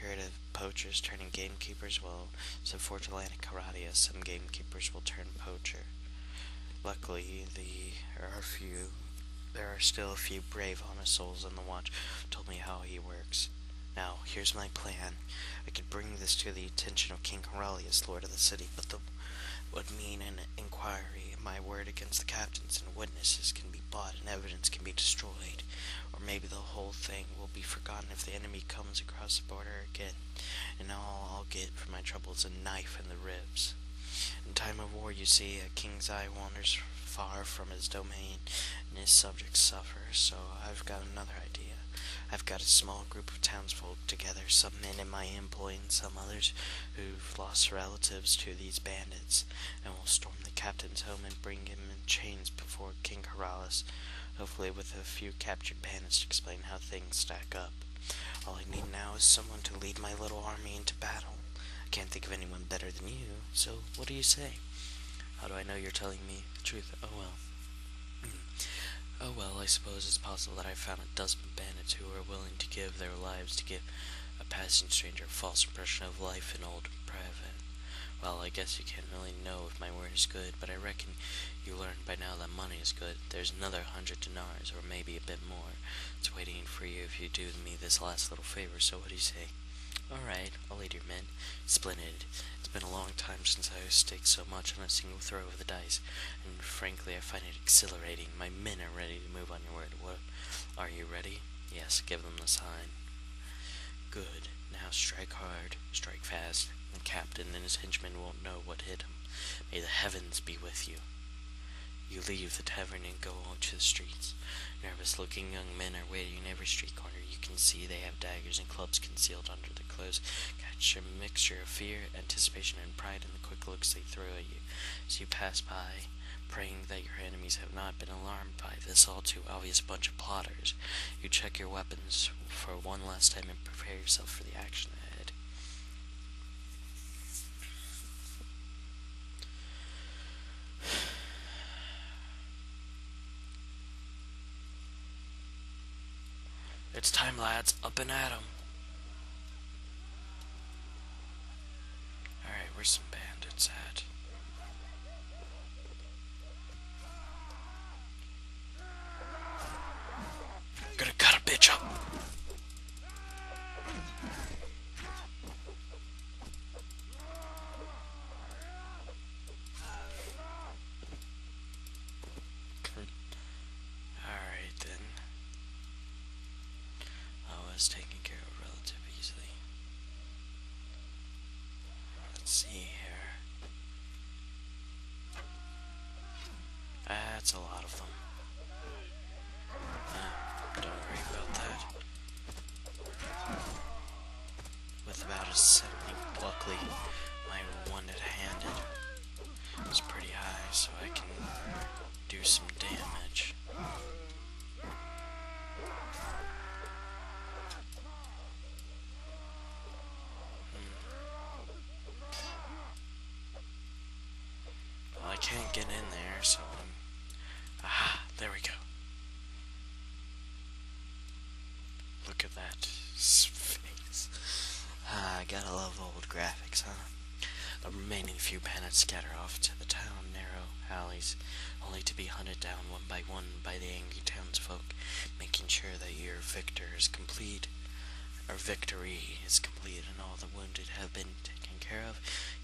You're poachers turning gamekeepers. will, some fortune landing karate as some gamekeepers will turn poacher. Luckily, there are few. There are still a few brave, honest souls in the watch. Told me how he works. Now, here's my plan. I could bring this to the attention of King Corellius, lord of the city, but that would mean an inquiry. My word against the captains and witnesses can be bought and evidence can be destroyed, or maybe the whole thing will be forgotten if the enemy comes across the border again, and all I'll get for my troubles a knife in the ribs. In time of war, you see, a king's eye wanders far from his domain, and his subjects suffer, so I've got another idea. I've got a small group of townsfolk together, some men in my employ and some others who've lost relatives to these bandits, and we will storm the captain's home and bring him in chains before King Corrales, hopefully with a few captured bandits to explain how things stack up. All I need now is someone to lead my little army into battle. I can't think of anyone better than you, so what do you say? How do I know you're telling me the truth? Oh well. Hmm. oh well, I suppose it's possible that I found a dozen bandits who were willing to give their lives to give a passing stranger a false impression of life in old private well, I guess you can't really know if my word is good, but I reckon you learned by now that money is good. There's another hundred dinars, or maybe a bit more. It's waiting for you if you do me this last little favor, so what do you say? Alright, I'll lead your men. Splendid. It's been a long time since I staked so much on a single throw of the dice, and frankly I find it exhilarating. My men are ready to move on your word. What? Are you ready? Yes, give them the sign. Good. Now strike hard, strike fast, and Captain and his henchmen won't know what hit him. May the heavens be with you. You leave the tavern and go out to the streets. Nervous-looking young men are waiting in every street corner. You can see they have daggers and clubs concealed under their clothes. Catch a mixture of fear, anticipation, and pride in the quick looks they throw at you as you pass by, praying that your enemies have not been alarmed by this all too obvious bunch of plotters. You check your weapons, for one last time and prepare yourself for the action ahead. It's time, lads. Up and at 'em. Alright, where's some bandits at? I'm gonna cut a bitch up. Alright then. I was taken care of relatively easily. Let's see here. That's a lot of them. don't worry about that. With about a 70 luckily my one-handed is pretty high, so I can do some damage. I can't get in there, so I'm... Aha! There we go. Look at that face. Ah, I gotta love old graphics, huh? The remaining few bandits scatter off to the town narrow alleys, only to be hunted down one by one by the angry townsfolk, making sure that your victory is complete, our victory is complete, and all the wounded have been taken care of.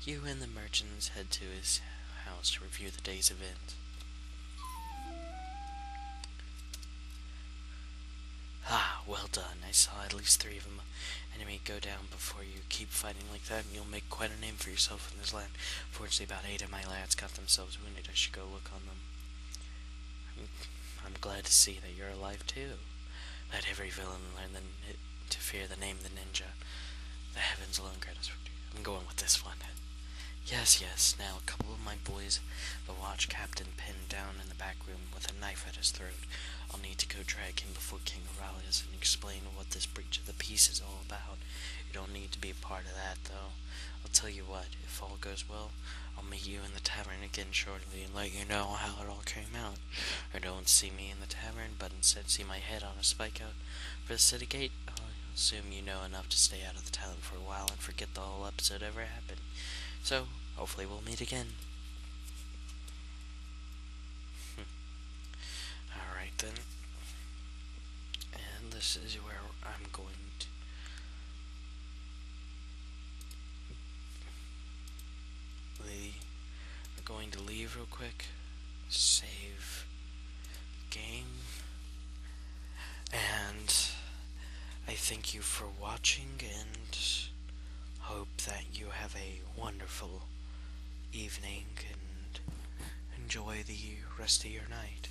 You and the merchants head to his house to review the day's events. Ah, well done. I saw at least three of them enemy go down before you. Keep fighting like that, and you'll make quite a name for yourself in this land. Fortunately, about eight of my lads got themselves wounded. I should go look on them. I'm, glad to see that you're alive too. Let every villain learn to fear the name the ninja. The heavens alone grant us victory. I'm going with this one. Yes, yes. Now, a couple of my boys, the watch captain pinned down in the back room with a knife at his throat. I'll need to go drag him before King Aurelius and explain what this breach of the peace is all about. You don't need to be a part of that, though. I'll tell you what if all goes well, I'll meet you in the tavern again shortly and let you know how it all came out. Or don't see me in the tavern, but instead see my head on a spike out for the city gate. Oh, I assume you know enough to stay out of the town for a while and forget the whole episode ever happened. So, hopefully we'll meet again. Hmm. Alright then. And this is where I'm going to we are going to leave real quick. Save game. And I thank you for watching and hope that you have a wonderful evening and enjoy the rest of your night.